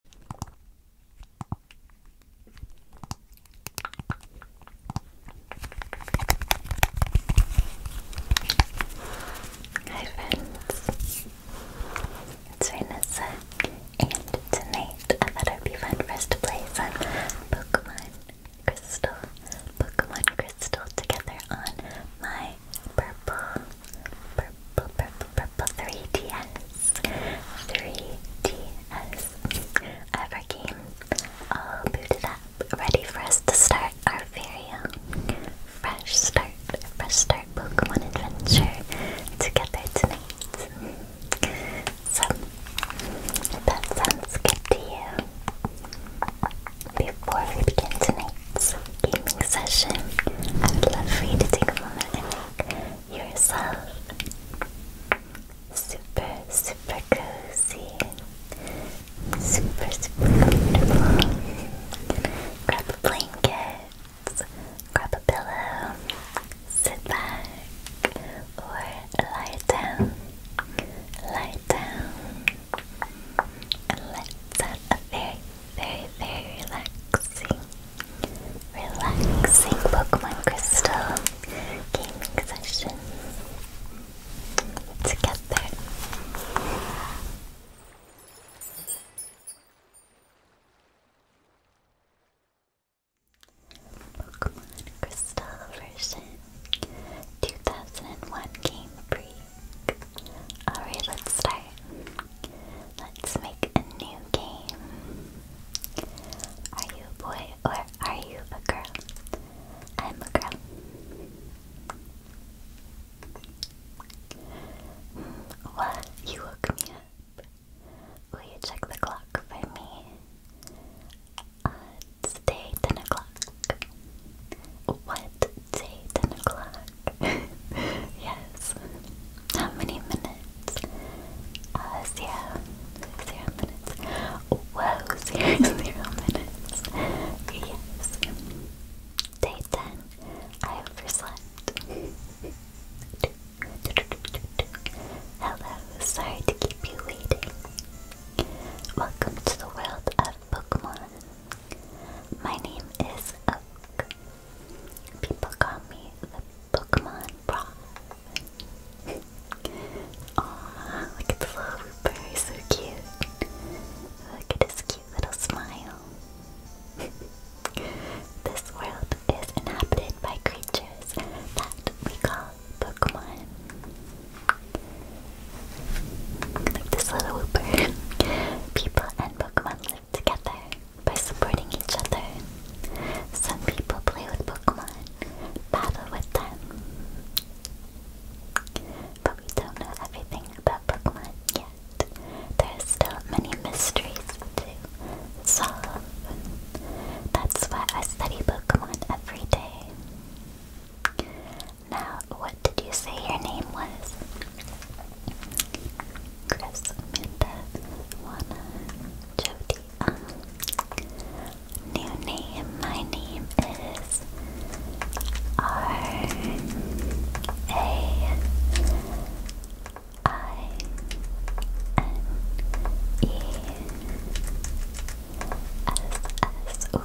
Hi friends, it's Vanessa, and tonight I thought it would be fun for to play some Pokemon Crystal, Pokemon Crystal together on my purple 3DS. 3DS. I our game all booted up, ready for us to start our very own fresh start, fresh start Pokemon adventure together tonight. So, that sounds good to you, before we begin tonight's gaming session, I would love for you to take a moment and make yourself super, super cozy, super, super comfortable. Grab a blanket, grab a pillow, sit back, or lie down, lie down, and let's have very, very, very relaxing relaxing Pokemon Crystal gaming session together. Pokemon Crystal version 2001 Game Freak. Alright, let's start. Let's make a new game. Are you a boy or are you a girl? I'm a girl. Hmm, what? You woke me up. Will you check the clock for me? Uh, today, 10 o'clock. What? Day, 10 o'clock. yes. How many minutes? Uh, minutes. Whoa, zero, zero minutes. Yes. Day 10. I overslept. Hello, sorry to keep you waiting. Welcome to the world of Pokemon. My name is Oak. People got me the Pokemon Prof. Aw, look at the little Wooper, so cute. Look at his cute little smile. this world is inhabited by creatures that we call Pokemon. Like this little Wooper. People and Pokemon together by supporting each other. Some people play with Pokemon, battle with them. But we don't know everything about Pokemon yet. There still many mysteries to solve. That's why I study Pokemon every day. Now, what did you say your name was? Chris, Juana, Jody. Um, new name. My name is R A I N E S S. Ooh,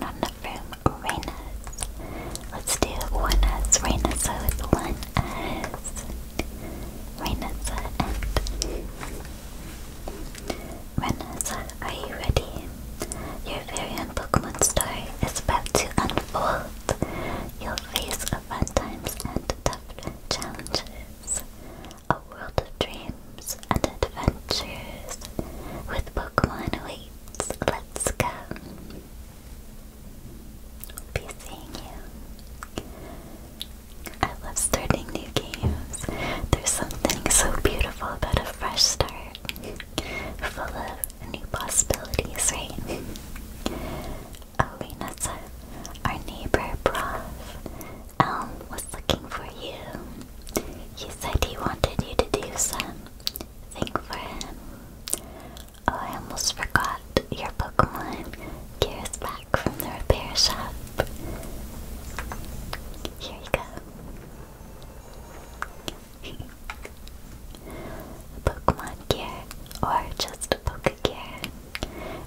not enough room. Reynas. Let's do one S. Reynas, so it's one S. Renessa and Renessa, are you ready? Your very own Pokemon story is about to unfold. You'll face fun times and tough challenges. A world of dreams and adventures with Pokemon awaits. Let's go be seeing you. I love starting new games. There's something so beautiful about a fresh start, full of new possibilities, right? Oh, our neighbor, Prof. Elm, was looking for you. He said he wanted you to do some. Think for him. Oh, I almost forgot your Pokemon. is back from the repair shop. Here you go. Pokemon gear, or just a Poke gear.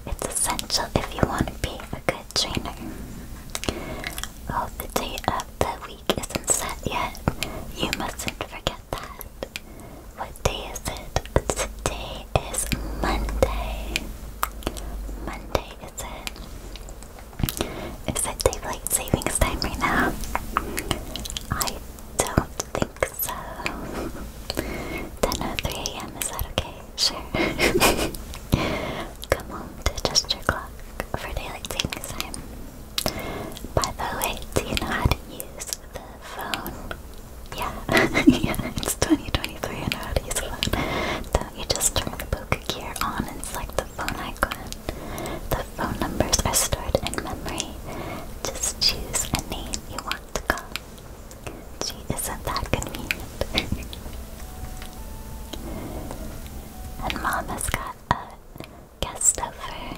It's essential if you want to be a good trainer. Oh, the date of the week isn't set yet. You mustn't forget that. What day is it? Today is Monday. Monday is it? Is it daylight savings time right now? I don't think so. 10.03 a.m. Is that okay? Sure. Come home to adjust your clock for daylight savings time. By the way, do you know how to use the phone. Yeah, it's 2023, I know how use a phone. So you just turn the poker gear on and like the phone icon. The phone numbers are stored in memory. Just choose a name you want to call. Gee, isn't that convenient? and mom has got a guest over.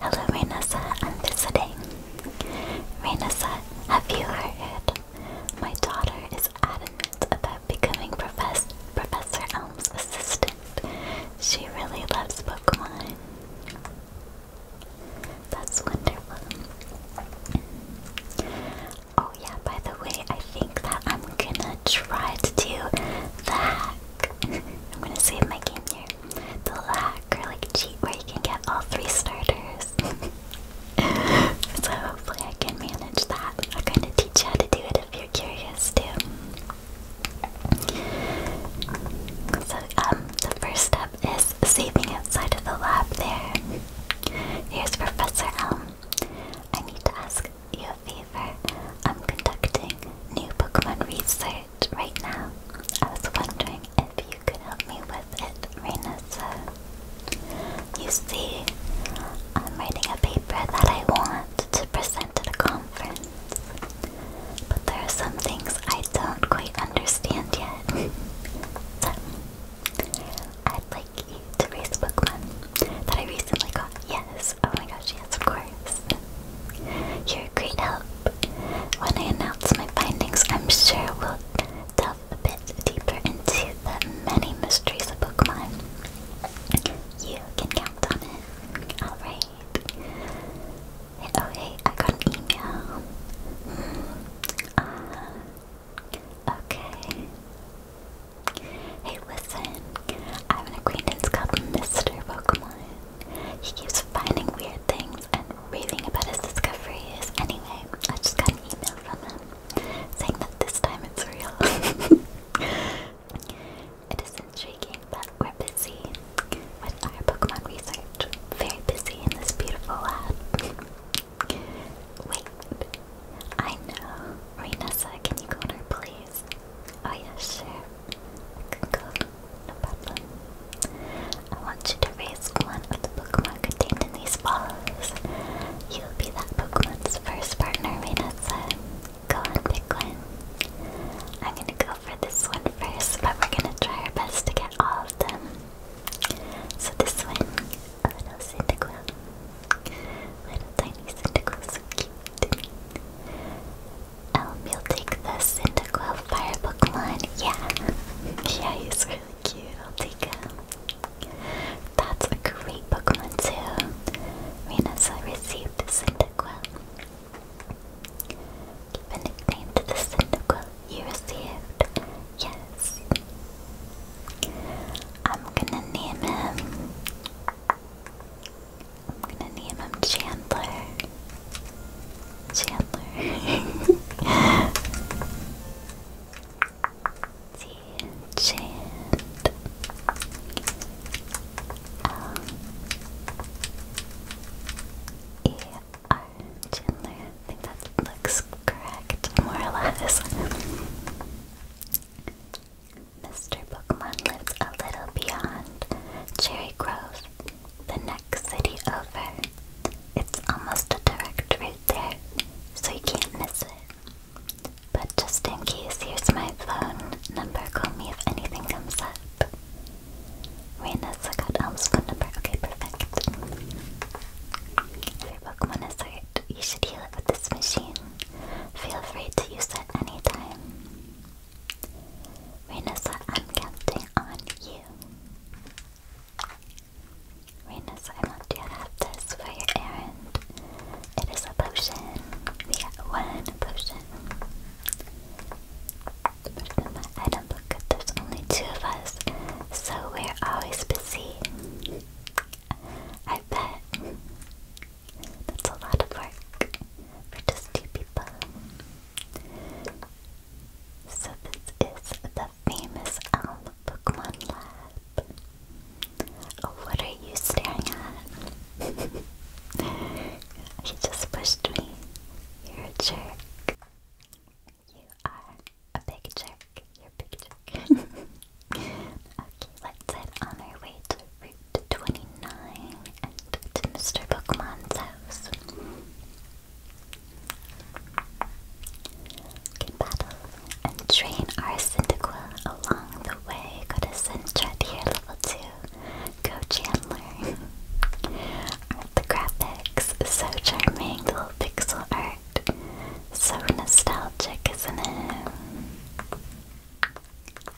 Hello, Renessa. I'm visiting. Reina said, Have you heard? My daughter is adamant about becoming profess Professor Elm's assistant. She really loves Pokemon. That's wonderful. Oh yeah, by the way, I think that I'm gonna try to do the hack. I'm gonna save my game here the lack or like cheat where you can get all three starters. so hopefully I can manage that. I'm going to teach you how to do it if you're curious too. So um, the first step is saving outside of the lab there. Here's Professor Elm. I need to ask you a favor. I'm conducting new Pokemon research right now. I was wondering if you could help me with it, Reina. So, you see, I'm writing a paper that I want to present at a conference, but there are some things I don't quite understand yet. so, I'd like you to raise a Pokemon that I recently got. Yes, oh my gosh, yes, of course. You're a great help. When I announce my findings, I'm sure we'll delve a bit deeper into the many mysteries of Pokemon. You can count on it. Alright. Oh hey, I got an email. Hmm. Uh, okay. Hey listen, I have an acquaintance called Mr. Pokemon. He keeps finding weird things and raving about his discoveries. Anyway, I just got an email from him saying that this time it's real. it is intriguing, but we're busy with our Pokemon research. Very busy in this beautiful lab. Wait, I know. Reinessa, can you go on her, please? Oh, yeah, sure. I can I want you to raise one of the bookmarks contained in these balls. You'll be that bookmark's first partner, Raynessa. Go on, pick one. I'm gonna go for this one first, but we're gonna try our best to get all of them. So this one, a little Cyndaquil. Little tiny Cyndaquil, so cute. Um, we'll take the Cyndaquil Fire Pokemon, yeah. Yeah, he's really cute. I'll take him. That's a great book Pokemon too. I received a Cyndaquil. Give a nickname to the Cyndaquil you received. Yes. I'm gonna name him. I'm gonna name him Chandler. Chandler. the think that looks correct, more or less. Mr. Pokemon lives a little beyond Cherry Grove the next city over. It's almost a direct route there, so you can't miss it. But just in case, here's my phone number. Call me if anything comes up. Reina got Elm's phone number. Okay, perfect. If your Pokemon is hurt, you should heal it with this machine. Feel free to use it anytime. Renessa, I'm counting on you. Renus, I want you to have this for your errand. It is a potion. We got one potion. First in my item book, there's only two of us, so we're always busy. I bet. That's a lot of work for just two people. So this is the famous Elm Lab. Oh, what are you staring at? you just pushed me. You're a jerk. You are a big jerk. You're a big jerk. okay, let's head on our way to Route 29 and to Mr. Pokemon's house can battle and train our Cyndaquil along the way. Go to Sintra here, level 2. Go Chandler. the graphics so charming? The little pixel art. So nostalgic, isn't it?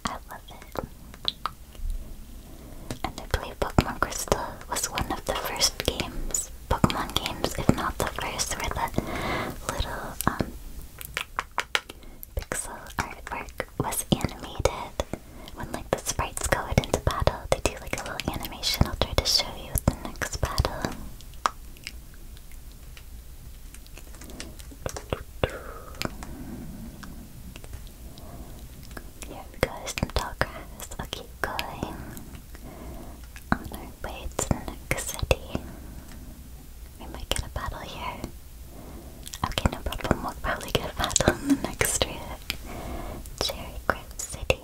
I love it. And I believe Pokemon Crystal was one of the first games Pokemon games, if not the first, where the little um, pixel artwork was animated. When like the sprites go into battle, they do like a little animation. I'll try to show you the next battle. Here we go, some tall Okay, going on our way to the next city. We might get a battle here. Okay, no problem. We'll probably get a battle in the next trip. Cherry Grove City.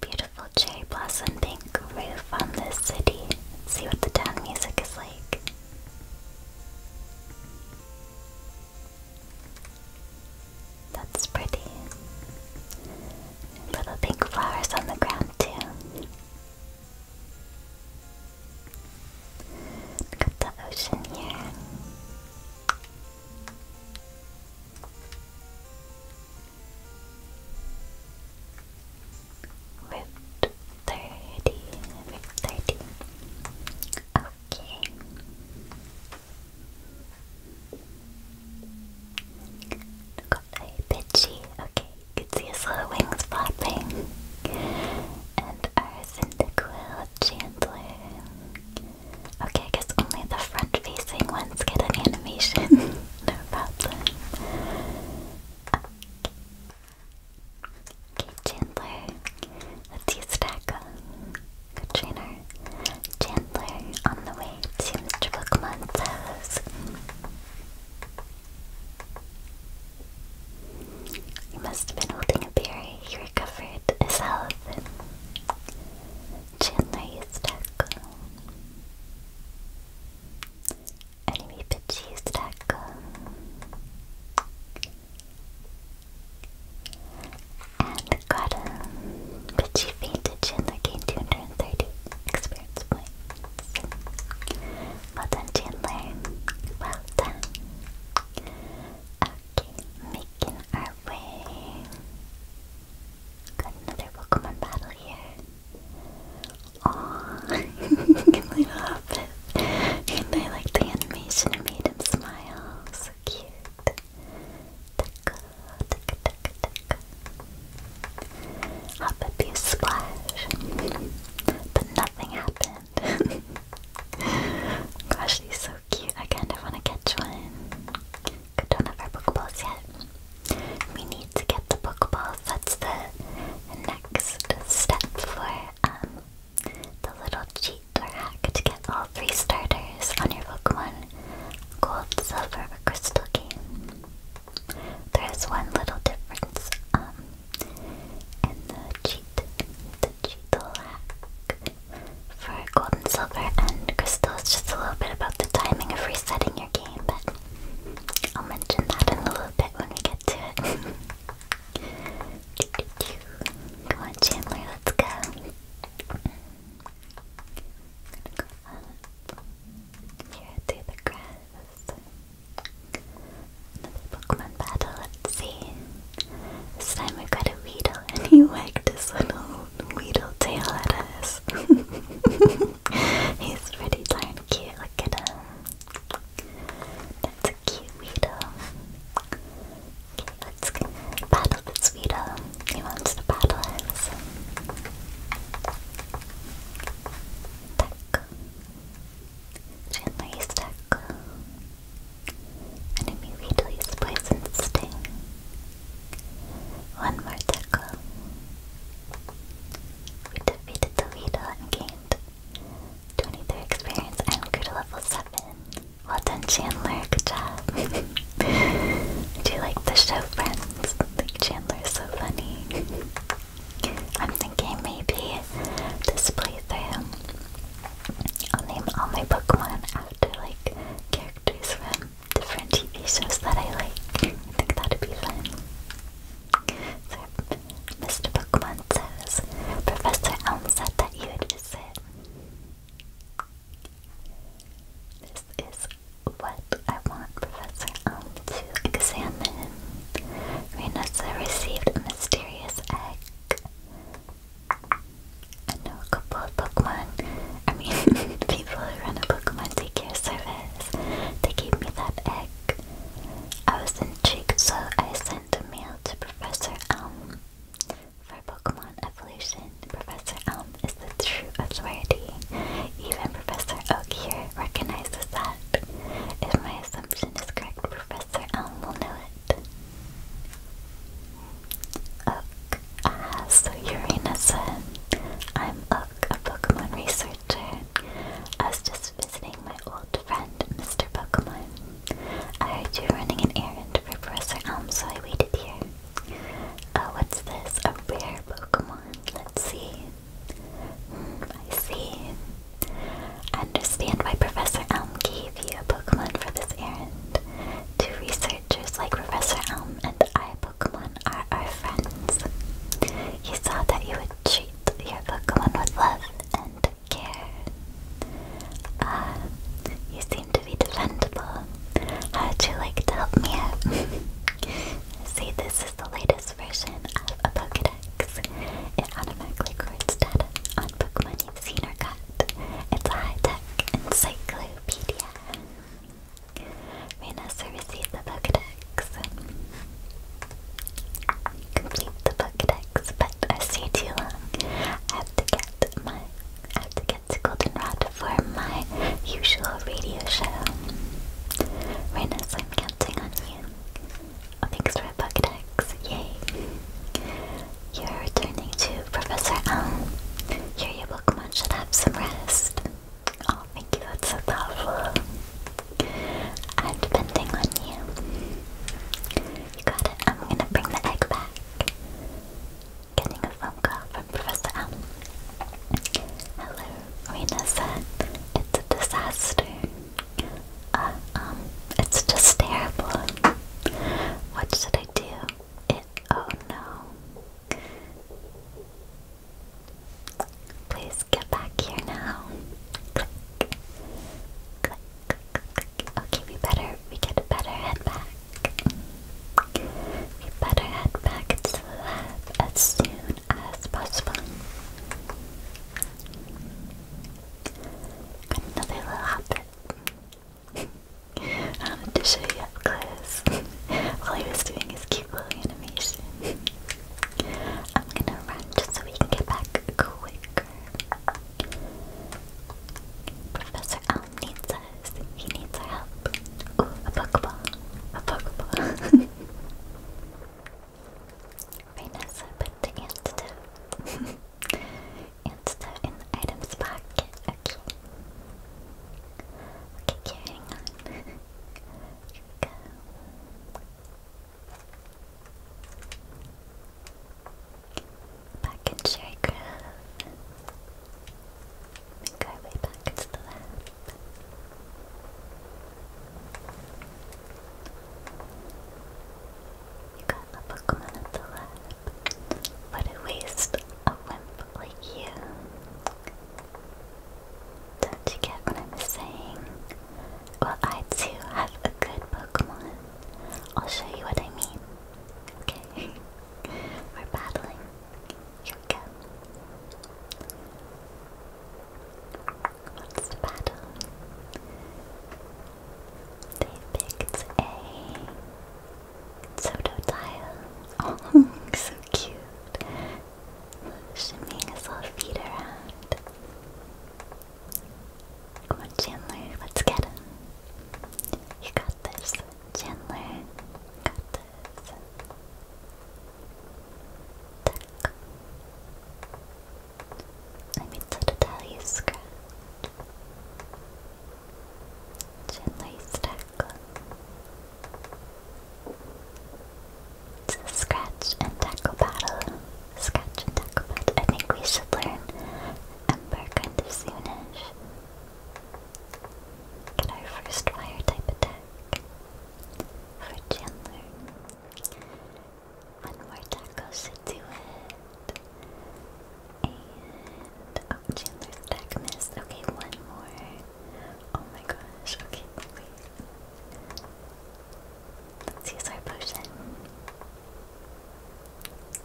Beautiful cherry blossom pink roof on this city. Let's see what the town music is like. That's pretty. Little pink flowers on the ground too. Got the ocean here. Route 30, Route 30. Okay got a Pidgey, okay, you can see his little wings flapping. And our Cyndaquil Chandler. Okay, I only the front facing ones get an animation. Okay. Chandler. Let's use Stack good trainer. Chandler on the way to Mr. house. He must have been holding a berry. He recovered his health. Chandler used tackle. Enemy bitch used tackle and got um, but she fainted, Chandler gained 230 experience points. Well done, Chandler. Well done. Okay, making our way. Got another Pokemon battle here. Aww, good little outfit. And I like the animation, it made him smile. So cute. Taco, up a few splash, but nothing happened. Gosh, he's so cute. I kind of want to catch one. I don't have our Pokeballs yet. We need to get the book Pokeballs. That's the next step for um, the little cheat or hack to get all three starters on your Pokemon gold, silver, crystal game. There is one little difference um, in the cheat, the cheetal for gold and silver and crystal. It's just a little bit about the timing of resetting your game, but I'll mention that in a little bit when we get to it. Come on, Chandler, let's go gonna go up here through the grass. Another Pokemon battle, let's see. This time we got a Weedle and he wagged his little Weedle tail at us. He's pretty darn cute, look at him. That's a cute Weedle. Let's battle this Vito. He wants to battle us. Tackle. Gently tackle. Enemy Vito's poison sting. One more tackle. We defeated the Vito and gained 23 experience and grew to level 7. Well done, Chandler. Good job. Do you like the show Friends? Like is so funny. I'm thinking maybe display them. I'll name all my Pokemon after like characters from different TV shows that I like. I think that'd be fun. So Mr. Pokemon says, Professor Elm said that you would visit. This is what I want Professor Elm to examine. Reynosa received a mysterious egg. I know a couple of Pokemon, I mean, people who run a Pokemon Take Care service, they gave me that egg. I was intrigued, so I sent a mail to Professor Elm. For Pokemon evolution, Professor Elm is the true authority. Even Professor Oak here recognizes that. If my assumption is correct, Professor Elm will know it. Oak. Ah, so Urena-san. I'm Oak, a Pokemon researcher. I was just visiting my old friend, Mr. Pokemon. I heard you running an errand for Professor Elm, so I waited here. Oh, what's this? A rare Pokemon. Let's see. Hmm, I see. understand why Professor Elm gave you a Pokemon for this errand. Two researchers like Professor Elm and I Pokemon are our friends. You saw that you would treat your Pokemon with love and care. Uh, you seem to to be defendable. How would you like to help me out? See, this is the latest version of a Pokedex. It automatically records data on Pokemon you've seen or caught. It's a high-tech encyclopedia. Reynosa received the Pokedex. Complete the Pokedex, but I stay too long. I have to get my I have to get to Goldenrod for my usual radio show. Renas, I'm counting on you. Oh, thanks for a bucket X. Yay. You're returning to Professor Elm. Here, your Pokemon should have some rest. Oh, thank you, that's so thoughtful. I'm depending on you. You got it. I'm gonna bring the egg back getting a phone call from Professor Allen. Hello, Rena It's a disaster. Uh, um, it's just terrible. What should I do? It, oh no. Please get back here now. Click. Click, click, click. I'll give better, we get better head back. We better head back to the lab as soon as possible. another little hobbit. I wanted to show you up close while he was doing his cute little animation. I'm gonna run just so we can get back quicker. Professor Tom needs us. He needs our help. a Pokeball. A Pokeball. Rainessa put the antidote. antidote in the items pocket. Okay. Okay, carrying on. Here we go. Back in Sherry Make our way back to the lab. You got a Pokemon at the lab. What a waste, a wimp like you. Don't you get what I'm saying? Well, I too have a good Pokemon. I'll show you what I mean. Okay. We're battling. Yucca. What's the battle? They picked a Totodile. Oh, so cute. Shinming is all feet around. Come on, Chandler, let's get him. You got this, Chandler. You got Так. Let me just tell you, scratch. Gently stack. It's a scratch and tackle battle. Scratch and tackle battle. I think we should learn Ember kind of soonish. Get our first fire type attack for Chandler. One more taco should do it. And oh, Chandler's attack missed. Okay, one more. Oh my gosh. Okay, wait. Let's use our potion.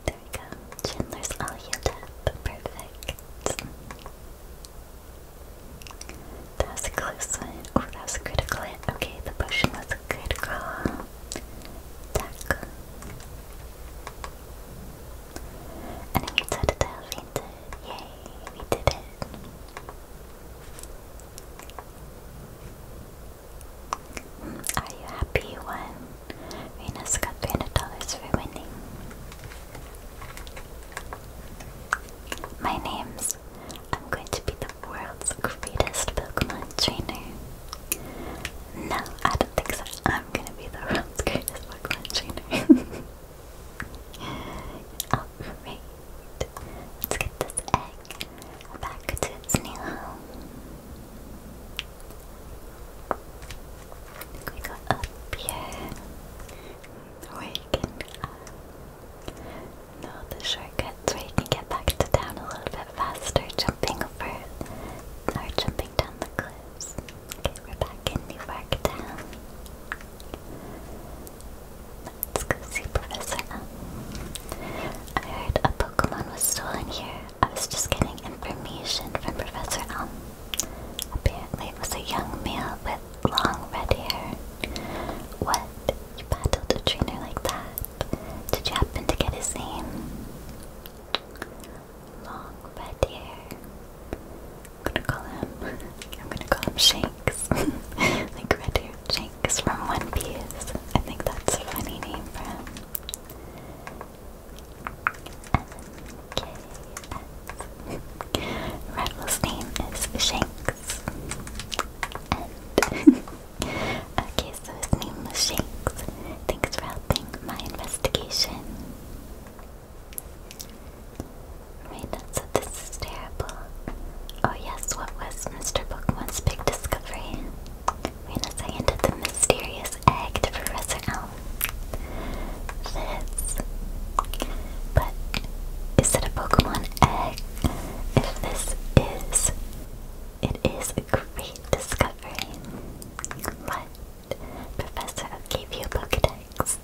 There we go. Chandler's all healed up. Perfect. That's a good one. Oh, that a critical hit. Eh? Okay, the potion was a critical. Tackle. And we did it fainted. Yay, we did it. Are you happy you won? rena got $300 for winning. My name's. I'm going to be the world's greatest Pokemon trainer. No, I don't think so. I'm going to be the world's greatest Pokemon trainer. let's get this egg back to its new home. We up here we can know the shortcuts where you can get back to town a little bit faster, jumping over or jumping down the cliffs. Okay, we're back in the York Town. Let's go see Professor M. I heard a Pokemon was stolen here. I was just getting information from Professor Elm. Apparently it was a young male with long red hair. What? You battled a trainer like that? Did you happen to get his name? Long red hair. I'm gonna call him I'm gonna call him Shanks. like red hair Shanks from One Piece. I think that's a funny name for him. K F. name is Shanks. okay, so his name was Shanks. Thanks for helping my investigation. Right, that's so this is terrible. Oh yes, what was Mr. Bookman's big discovery? Reina handed the mysterious egg Professor Elm this. But is it a Pokemon egg? If this is, it is a great discovery. What? Professor gave you a Pokedex.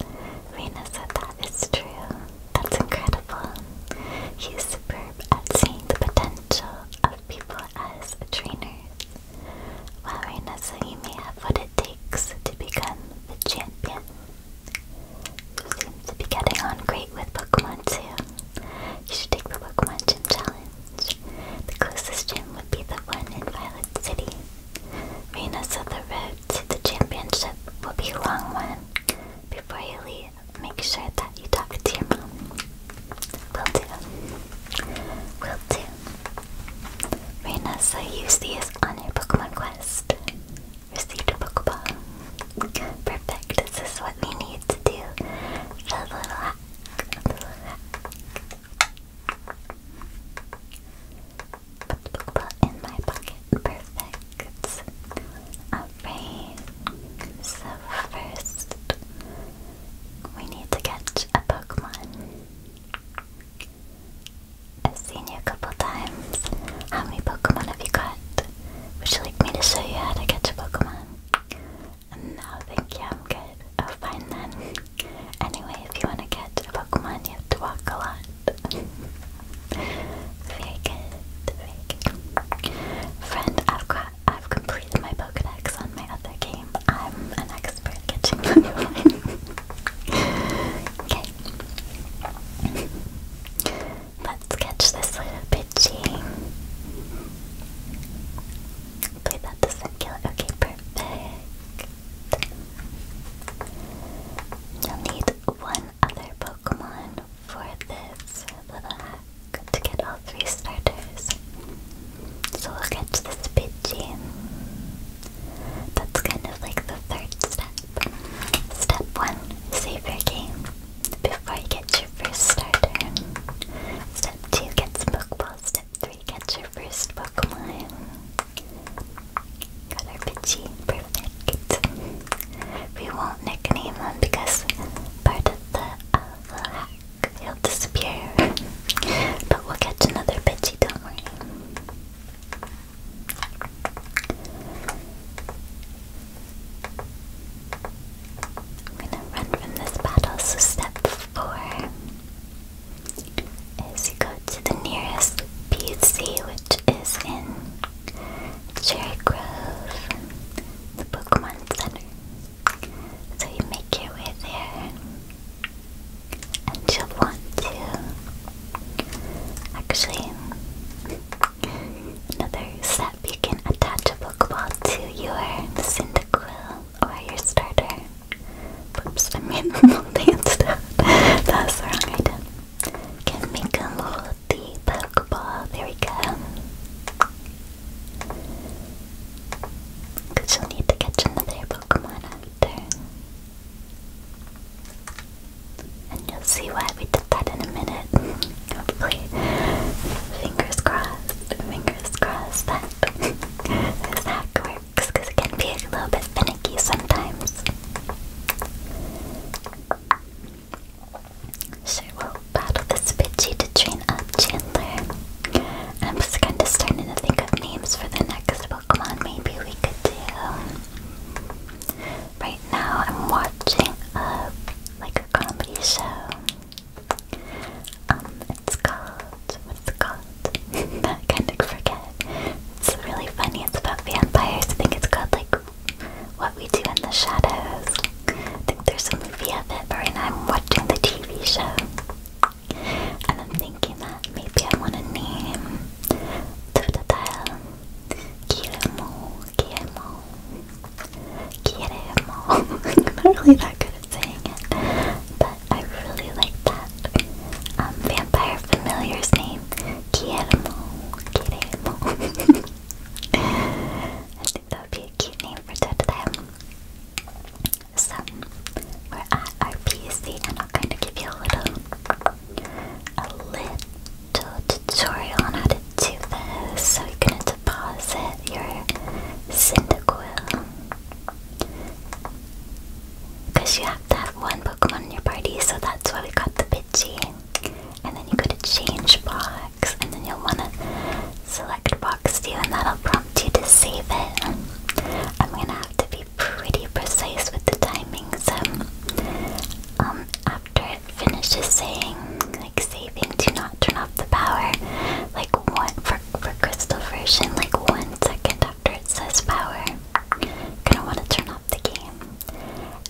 Rena said that is true. That's incredible. He's superb at seeing the potential of people as trainers. Well, Rena, so you may have put it it takes to become the champion. You to be getting on great with Pokemon too. You should take the Pokemon Gym Challenge. The closest gym would be the one in Violet City. Rena said the road to the championship will be a long one. Before you leave, make sure that you talk to your mom. Will do. Will do. Raynessa use these on your Pokemon quest. Received Pokeball. Perfect, this is what we need to do. The little little Pokeball in my pocket. Perfect. Alright. So first we need to catch a Pokemon. I've seen you a couple times. How many Pokemon have you got? Would you like me to show you how to catch a Pokemon? No, thank you, I'm good. Oh, fine then. Anyway, if you want to catch a Pokemon, you have to walk a lot. very good, very good. Friend, I've got, I've completed my Pokedex on my other game. I'm an expert catching Pokemon. okay. Let's catch this little Pidgey. Wait, that doesn't it. Okay, perfect. You'll need one other Pokemon for this little hack to get all three starters. So we'll catch this Pidgey. That's kind of like the third step. Step one, save your game before you get your first starter. Step two, get some Pokeballs. Step three, get your first Pokemon. Got our Pidgey, perfect. We won't nickname him because part of the, uh, hack, he'll disappear. but we'll catch another Pidgey, don't worry. I'm gonna run from this battle, so step four is you go to the nearest PC, which is in Cherry Grove, the Pokemon Center. So you make your way there and she'll want to actually another step you can attach a Pokeball to your Cyndaquil or your starter. Oops, I made the stuff. That the wrong item. Can make them hold the Pokeball. There we go. Because you'll need to catch another Pokemon after. And you'll see why we did that in a minute. Hopefully. Fingers crossed. Fingers crossed that this hack works it can be a little bit finicky sometimes. Sure, we'll battle this bitchy to train up Chandler. I'm just kind of starting to think of names for the next Pokemon maybe we could do. Um, right now I'm watching a like a comedy show. Um, it's called what's it called? kind of forget. It's really funny. It's about vampires. I think it's called like What We Do in the Shadows. I think there's a movie of it, but I'm watching the TV show. And I'm thinking that maybe I want to name Totodile, Guillermo, Guillermo, Guillermo. i not really that good saying it, but I really like that um, vampire familiar's name, Guillermo, Guillermo. I think that would be a cute name for Totodile. So, we're at our PSC and I'll kind of give you a little a little tutorial on how to do this. So you're gonna deposit your Cyndaquil. Because you have to have one Pokemon in your party, so that's why we got the Pidgey. And then you go to change box, and then you'll wanna select box two, and that'll prompt you to save it. I'm gonna have to be pretty precise with the timing, so um, after it finishes saying, like, saving, do not turn off the power, like, one, for, for crystal version, like, one second after it says power, gonna want to turn off the game.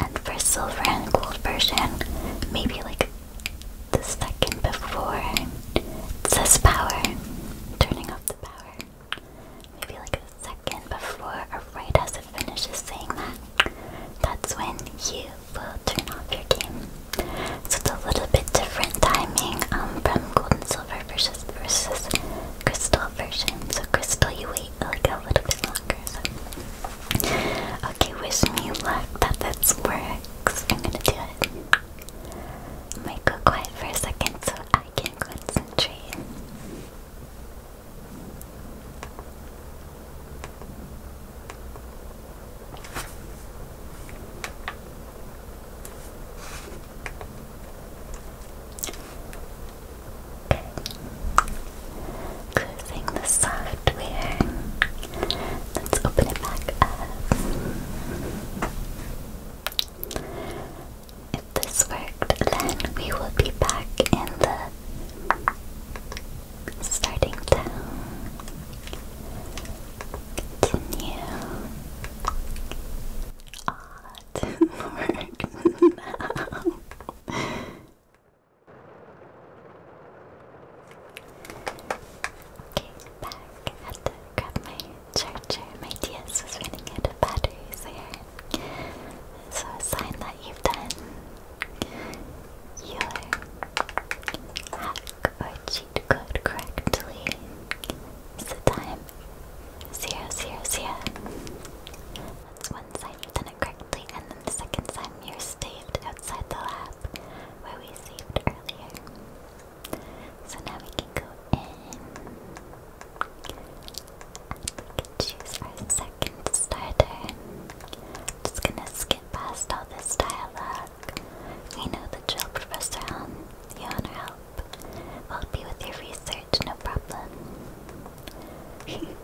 And for silver and gold version, maybe like the second before it says power, turning off the power maybe like a second before or right as it finishes saying that, that's when you will turn off your game. So it's a little bit different timing um, from gold and silver versus, versus crystal version. So crystal, you wait a little bit longer. Okay, wish me luck that this works. I'm gonna do it. might go quiet for a second so I can concentrate. Okay. Closing the software. Let's open it back up. If this worked, then we will be back in the starting town. Continue. Ah, oh, didn't Okay, back. had to grab my charger. My DS was running out of batteries. I so a sign that you've done your hack or cheat code correctly is the time zero zero zero. That's one sign done it correctly, and then the second time you're saved outside the lab where we saved earlier. So now we can go in. Choose our second starter. Just gonna skip past all this dialogue. We know the drill, Professor Helm. You want our help? We'll be with your research, no problem. you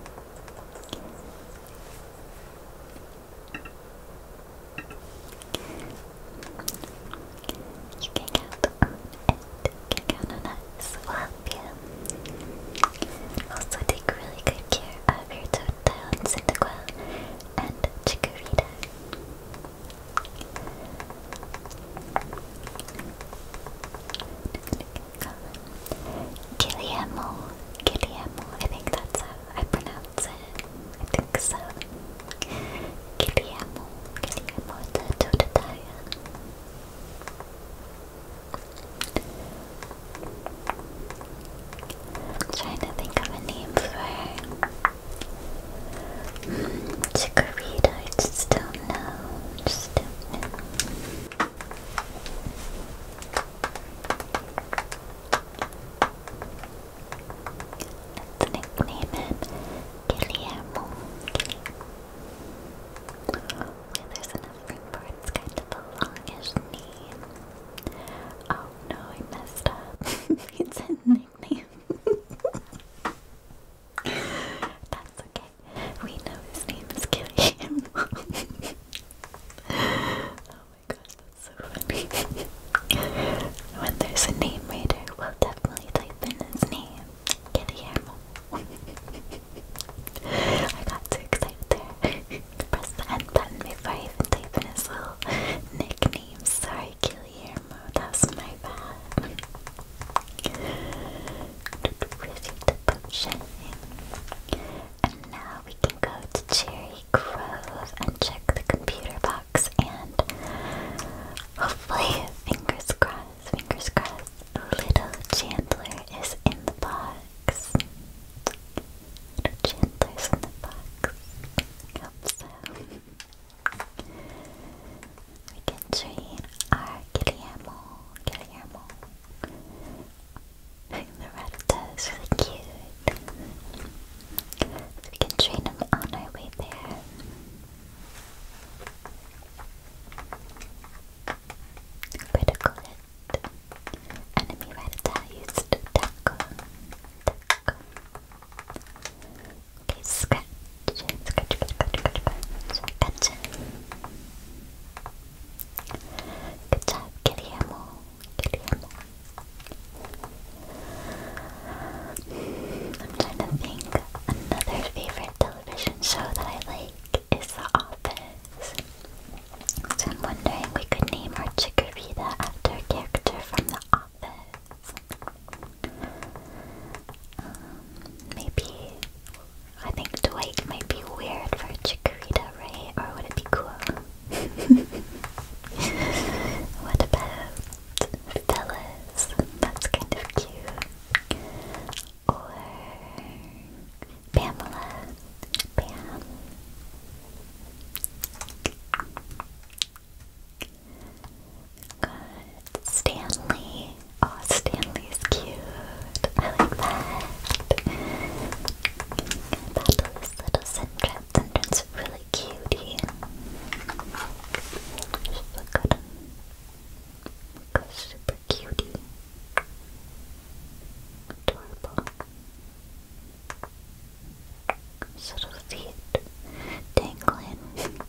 can help and cacao nuts will help you. Also take really good care of your Totodile and Cyndaquil and Chikorita. Guillermo, Guillermo, I think that's how I pronounce it. I think so. Guillermo, Guillermo the Totodile. I'm trying to think of a name for her. I just don't know. Just do nickname Guillermo. Well, there's enough room for it's kind of a longish knee. Oh no, I messed up. it's a nickname. That's okay. We know his name is Kitty. oh my gosh, that's so funny. when there's a name reader, we'll definitely type in his name. Kitty animal. I got too excited there. Press the end button before I even type little nickname. Sorry, Guillermo, that was my bad. Receive the potion. And now we can go to Cherry Grove and check the computer box and hopefully, fingers crossed, fingers crossed, little Chandler is in the box. Little Chandler's in the box. Hope so. We can train our Guillermo. Guillermo. The Rattata is really cute. we can train him on our way there. Critical hit. Enemy right attack used tackle. Okay, scratch. Scratch, scratch, scratch, scratch, scratch. Good job, Guillermo. Guillermo. I'm trying to think another favorite to television show that I like is The Office. So I'm wondering we could name our Chikorita after a character from The Office. Um, maybe I think Dwight might be weird for Chikorita, right? Or would it be cool? what about Phyllis? That's kind of cute or Pamela. Pam. Good. Stanley. Oh, Stanley's cute. I like that. Battle little Sentret. really cutie. Look at him. Like super cutie. Adorable. Sort of see dangling,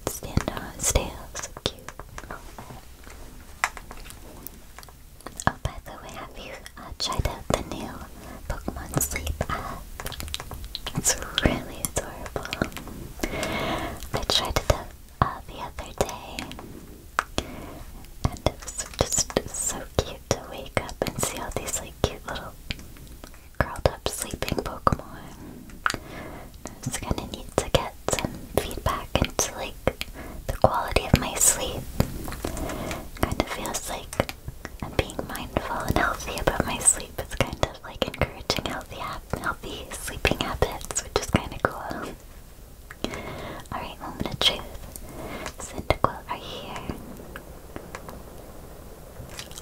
stand on its tail, so cute. Oh, by the way, have you uh, tried the new Pokemon Sleep app? It's really adorable. I tried it the other day, and it was just so cute to wake up and see all these like cute little curled up sleeping Pokemon. It's kind of neat to get some feedback into like the quality of my sleep. Kind of feels like I'm being mindful and healthy about my sleep. It's kind of like encouraging healthy, healthy sleeping habits, which is kind of cool. Alright, moment of truth. Cyndaquil are here.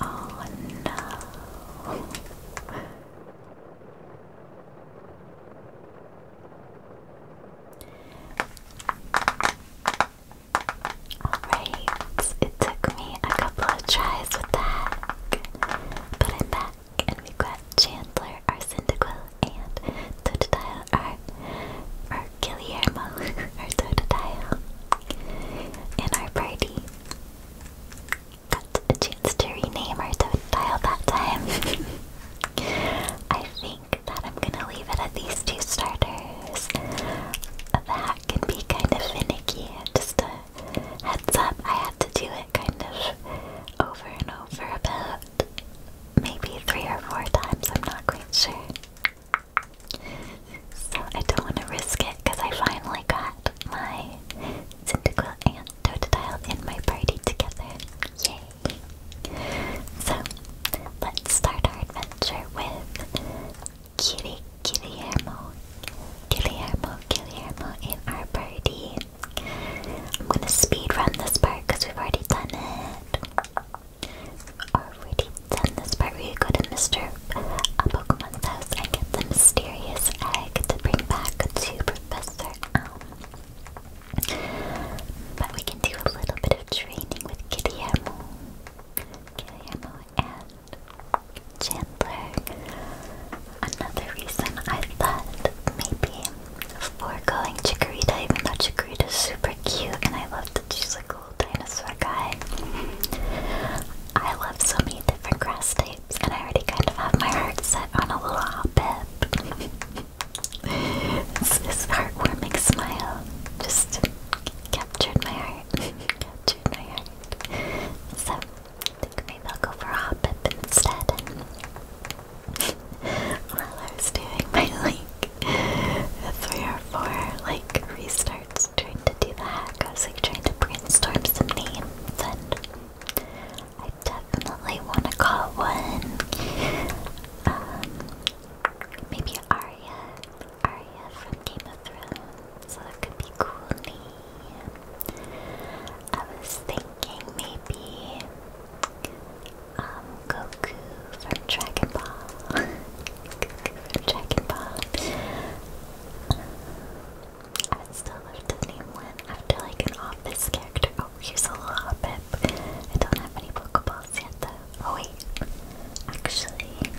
Oh no. Alright, it took me a couple of tries with that, but i back and we've got Chandler, our Cyndaquil, and Totodile, our, our Guillermo, our Totodile. In our party, got a chance to rename our Totodile that time. I think that I'm gonna leave it at these two starters. That can be kind of finicky, just a heads up, I had to do it kind of over and over about maybe three or four times, I'm not quite sure. So I don't want to risk it because I finally got my Cyndaquil and Totodile in my party together. Yay! So let's start our adventure with Kitty Guillermo. Guillermo, Guillermo in our party. I'm gonna speed run this part because we've already done it. Already done this part where go to Mr. Uh, Pokemon's house and get the mysterious egg to bring back to Professor But we can do a little bit of training with Guillermo, Guillermo and Chandler another reason I thought maybe foregoing Chikorita, even though Chikorita is super cute and I love that she's a cool dinosaur guy. I love so many different grass types, and I already kind of have my heart set on a little hoppip. this heartwarming smile just captured my heart. captured my heart. So, I think maybe I'll go for a hoppip instead. I was doing my like three or four like restarts trying to do the hack, I was like trying to brainstorm some names and I definitely want to call one um, maybe Arya, Arya from Game of Thrones, so that could be cool name. I was thinking maybe um, Goku from Dragon Ball. Goku from Dragon Ball. I still love to name one after like an office character. Oh, here's a little hobbit. I don't have any Pokeballs yet though. Oh wait, actually.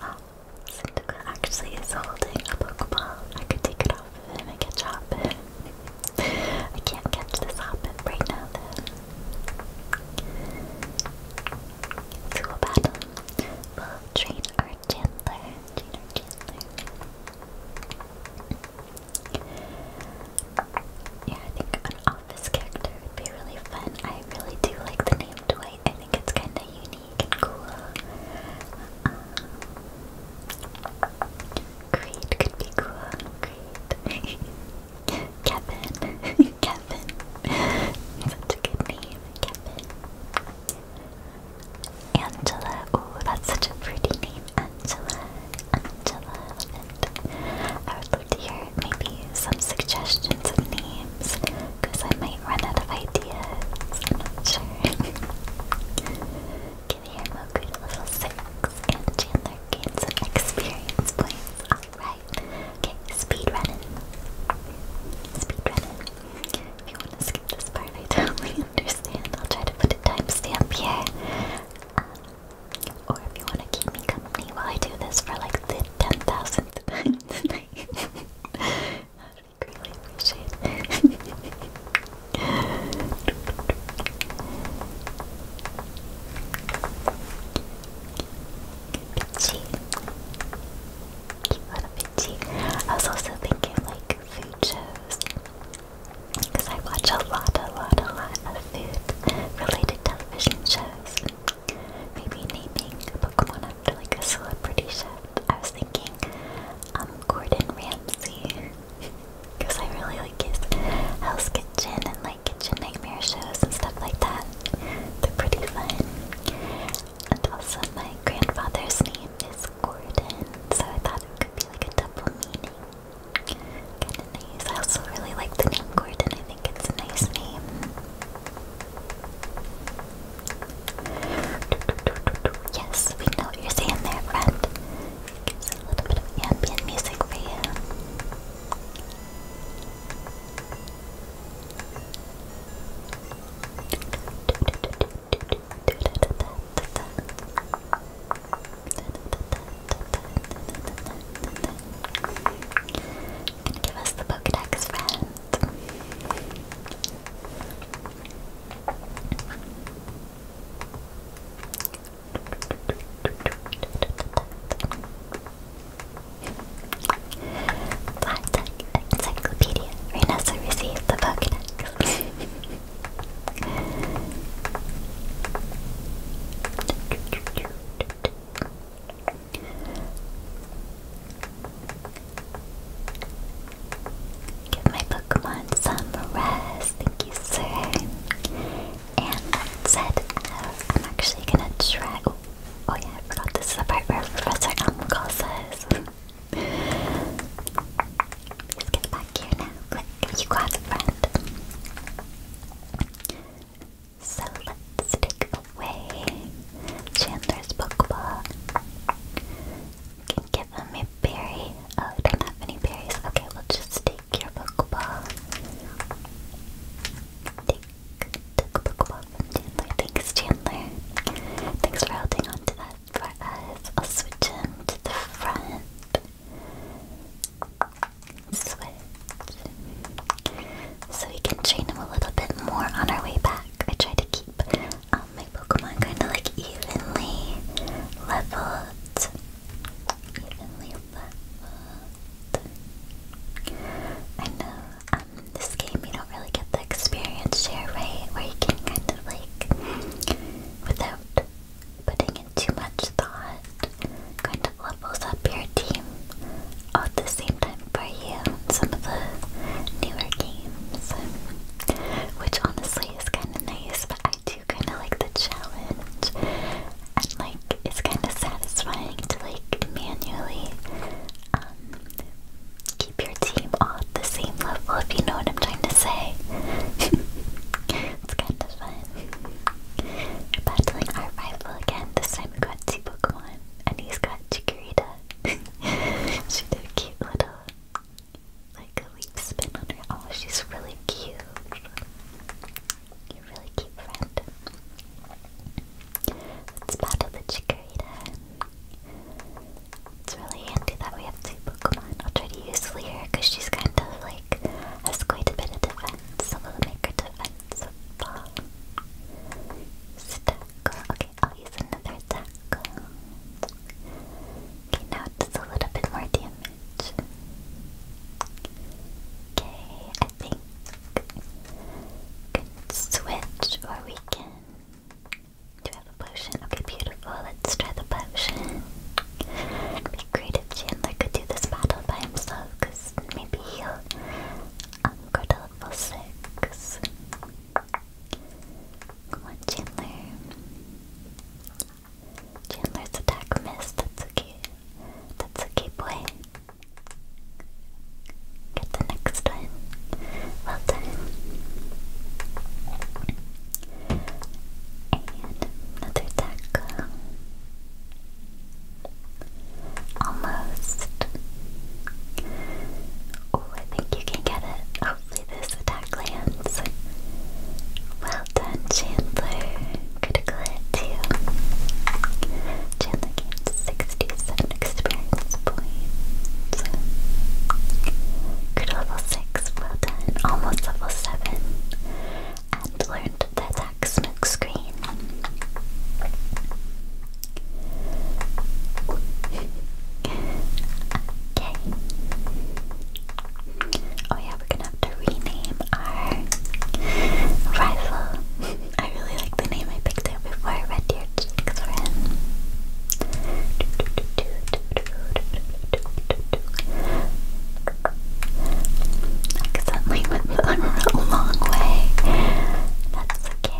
Um, Cyndaquil actually is holding a Pokeball. I could take it off of him and catch Hoppip. I can't catch this Hoppip right now then. To battle. We'll Train our Chandler. Yeah, I think an office character would be really fun. I really do like the name Dwight. I think it's kind of unique unique and cool. Um, could be cool. Creed. Kevin. Kevin. Such a good name. Kevin. Angela. Oh, that's such a pretty name. Angela. Angela. I would love to hear maybe some suggestions of names times because I might run out of ideas. I'm not sure. Give your Moku level and Chandler gain experience points. Alright. Okay, speed running. Speed running. If you want to skip this part, I totally understand. I'll try to put a timestamp here. Um, or if you want to keep me company while I do this for like the 10,000th time tonight greatly appreciate it. Bitchy. Cute I was also thinking like food shows. Because I watch a lot, a lot, a lot of food related television shows. Maybe naming a Pokemon like a celebrity chef. I was thinking, um, Gordon Ramsay, because I really like his Hell's Kitchen and like Kitchen Nightmare shows and stuff like that. They're pretty fun. And also, my grandfather's name is Gordon, so I thought it could be like a double meaning. Kind of nice. I also really like the name Gordon. I think it's a nice name. Yes, we know what you're saying there, friend. Gives a little bit of ambient music for you. And give us the Pokedex, friend. Black Encyclopedia. Reynosa received the Pokedex. Give my Pokemon some rest. Thank you, sir. And said, I'm actually gonna try. Oh, oh, yeah, I forgot this is the part where Professor Elmcall says. Let's get back here now. Quick, you grab a friend. So let's take away Chandler's Pokeball can give him a berry. Oh, we don't have any berries. Okay, we'll just take your Pokeball. Take, take a Pokeball Chandler. Thanks, Chandler. Thanks for holding on to that for us. I'll switch him to the front. Switch. So we can train him a little bit more on our way back. I try to keep Oh, my Pokemon kind of like evenly leveled. Evenly leveled. I know um, this game you don't really get the experience share, right? Where you can kind of like, without putting in too much thought, kind of levels up your team at the same time for you some of the newer games, which honestly is kind of nice, but I do kind of like the challenge, and like it's kind of satisfying to like manually um, keep your team on the same level, if you know what I'm trying to say. it's kind of fun. We're battling our rival again. This time we got two and he's got Chikorita. She's a cute little like a leaf spin on her. Oh, she's really cute. You're really cute friend. Let's battle the Chikorita. It's really handy that we have two Pokemon. I'll try to use Leer because she's kind of like has quite a bit of defense. So we make her defense fall. Stack. I'll I'll use another tackle. Okay, now just a little bit more damage. Okay, I think can switch or we can. Do have a potion? Okay, beautiful. Let's try the potion. It'd be great Chandler could do this battle by himself, because maybe he'll um, go to level 6. Come Chandler. Chandler's attack missed. That's okay. That's okay, boy. Get the next one. Well done. And another attack. Almost. Oh, I think you can get it. Oh, Hopefully this attack lands. Well done, Chandler. Critical hit too. Chandler 67 experience points. Crit level 6, well done. Almost level 7. And learned the attack smoke okay. Oh yeah, we're gonna have to rename our rifle. I really like the name I picked out before I read your chicks were in. Accidentally went the wrong way. That's okay.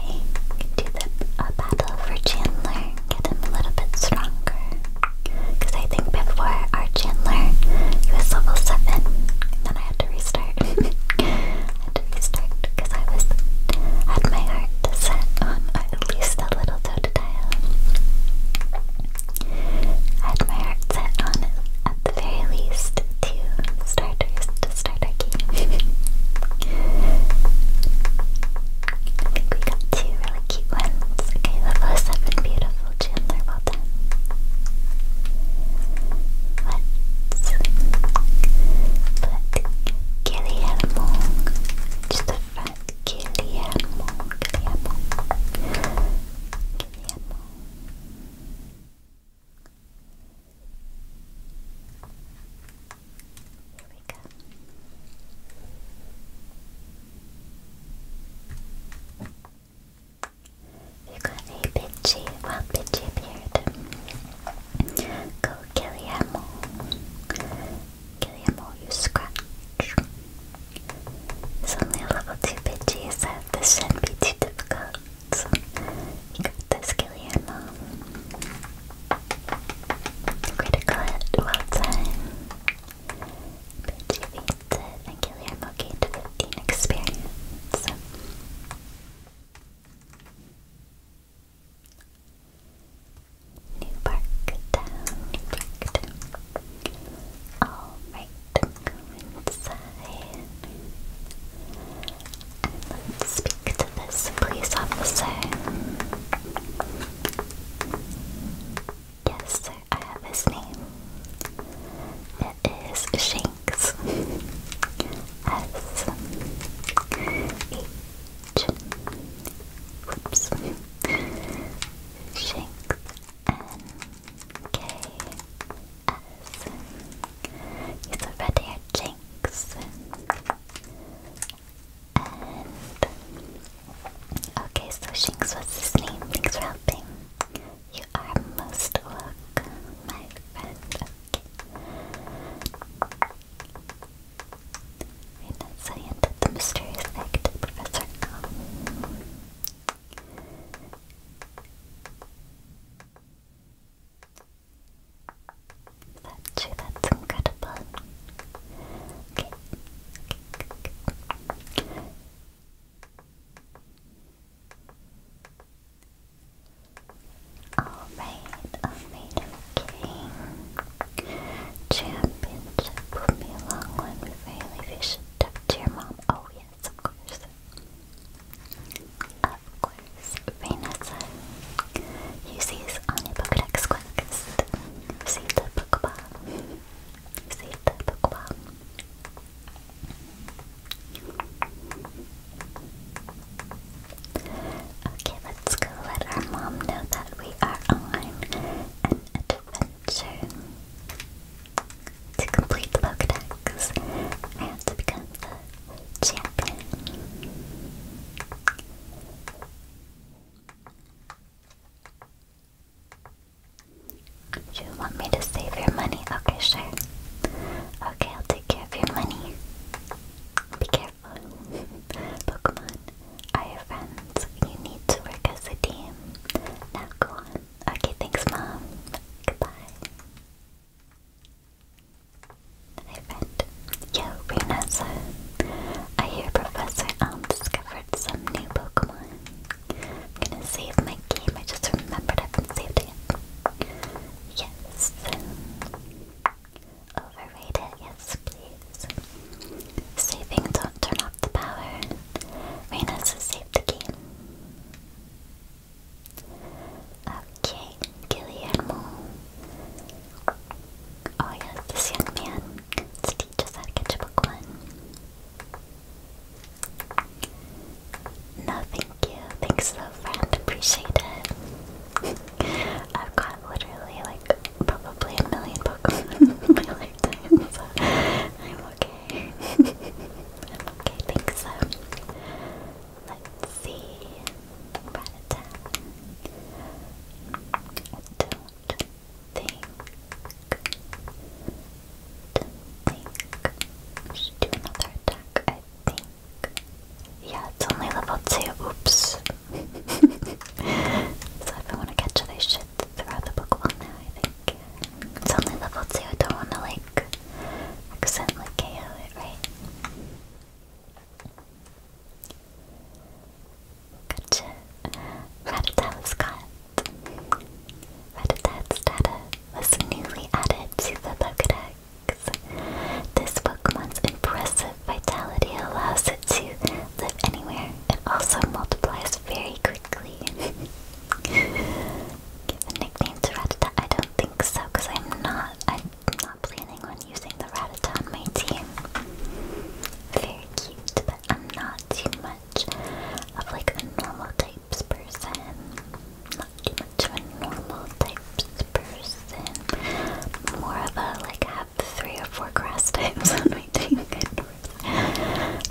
Do the uh, battle for Chandler, get him a little bit stronger. Because I think before our Chandler, was level 7, then I had to restart. had to restart because I was had my heart set on at least a little Totodile. I had my heart set on at the very least two starters to start our I think we got two really cute ones. Okay, the first have beautiful, Chandler. Well done. Let's put just the front. Guillermo, Guillermo, Guillermo. Here we go. You got a bitchy, well bitchy beard. Go Guillermo. Guillermo, you scratch. It's only level 2 bitchy, so this shouldn't be too difficult. You got this, Guillermo. Critical hit, well done. Retrieve it and kill your monkey experience. New New Park Town. Alright, go inside. let's speak to this police officer. Yes, I have his name. It is Shanks. S H. Whoops. Shanks. a Jinx. And okay, so Shinx was his name. Thanks for helping. You are most welcome, my friend. Okay. Right, now, you did the mysterious act, Professor that's, that's incredible. Okay. Alright, alright, okay. Championship will be a long one before you leave. You should talk to your mom. Oh, yes, of course. Of course. Vanessa, Use these on a Pokedex quest. Save the Pokeball. Save the Pokeball. Okay, let's go let our mom know that we are on an adventure. To complete the Pokedex, I become the champion. You want me to save your money? Okay, sure. Okay, I'll take care of your money. Be careful. Pokemon are your friends. You need to work as a team. Now go on. Okay, thanks, Mom. Goodbye. Hi friend. Yo, Renessa. I hear Professor Elm discovered some new Pokemon. I'm gonna save my game. I just remembered I haven't saved it. Yes. Overrated. Yes, please. Saving. Don't turn off the power. Renessa saved the game. Okay, Guillermo. Oh yeah, this young man to teach us how No, thank you. Thanks to friend, appreciate it. I've got literally like probably a million Pokemon I'm okay. I'm okay, thanks so. Let's see. I don't think, think should do another attack, I think. Yeah, it's only level 2, oops. so if I want to catch it, I should throw the Pokemon now, I think. It's only level 2, I don't want to like accidentally KO it, right? Gotcha. Rattata was caught. Rattata's data was newly added to the Pokedex. This Pokemon's impressive vitality allows it to live anywhere. It also multiplies very quickly. Give a nickname to Rattata? I don't think so, because I'm not. I'm not planning on using the Rattata on my team. Very cute, but I'm not too much of like a normal types person. Not too much of a normal types person. More of a like have three or four grass types on my team.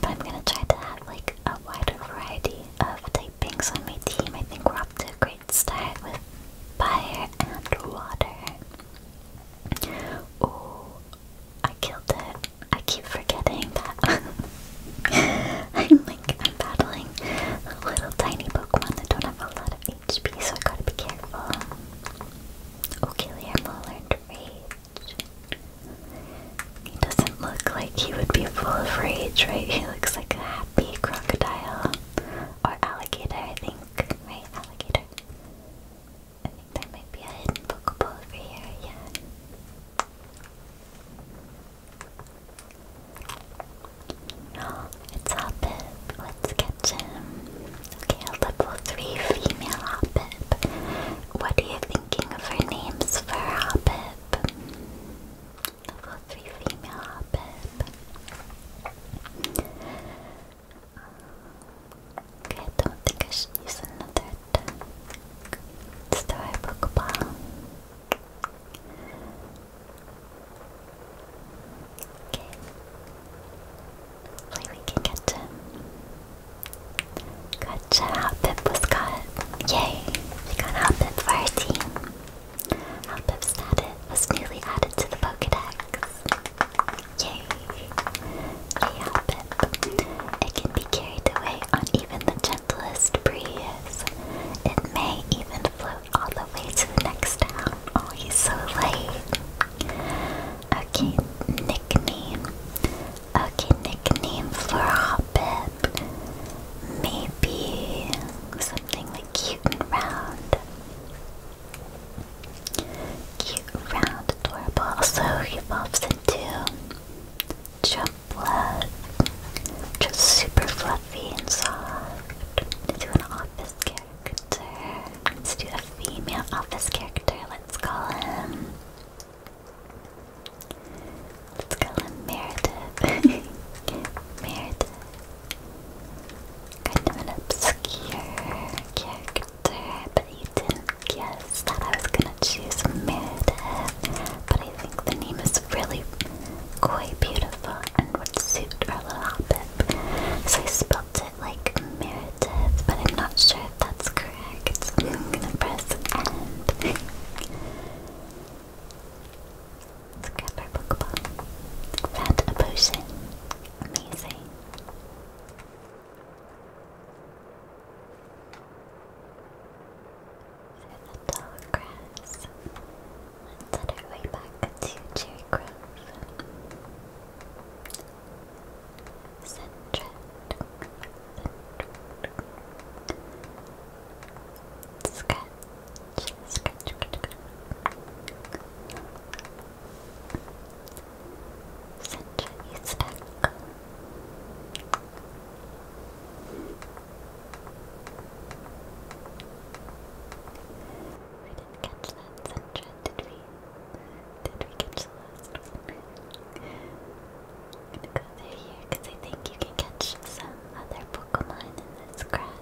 but I'm gonna try to have like a wider variety of typings on my team. I think we're off to a great start with fire and water. Oh, I killed it. I keep forgetting that. I'm like, I'm battling little tiny Pokemon that don't have a lot of HP, so I gotta be careful. Okay, Guillermo learned rage. He doesn't look like he would be full of rage, right? He looks like a happy crocodile. Or alligator, I think. Right, alligator? I think there might be a hidden Pokeball over here, yeah. it's Hoppip. Let's catch him. Okay, level 3 female Hoppip. What are you thinking of her names for Hoppip? Level 3 female Hoppip. Okay, I don't think I should use another attack. Let's try a Pokeball. Okay. Hopefully we can catch Gotcha, Hoppip was caught. Yay! We got Hoppip for our team. was newly added to the Pokedex. Yay! Yay it can be carried away on even the gentlest breeze. It may even float all the way to the next town. Oh, he's so late. Okay, nickname. Okay, nickname for Hobbit. Maybe something like cute and round. Cute round adorable. Also evolves into Jumplet. Just super fluffy and soft. Let's do an office character. Let's do a female office character. Let's call him. Let's call him Meredith. Meredith. Kind of an obscure character but you didn't guess that I was gonna choose Meredith. But I think the name is really quite beautiful and would suit our little hobbit. So I spelled it like Meredith, but I'm not sure if that's correct. I'm gonna press end. Let's grab our Pokeball. Found Amazing. And the tall Let's head our way back to Cherry Grove. Centred. Scratch. Scratch. Scratch. Century stack. didn't catch that Centra, did we? Did we catch the I'm gonna go there here because I think you can catch some other Pokemon in this grass.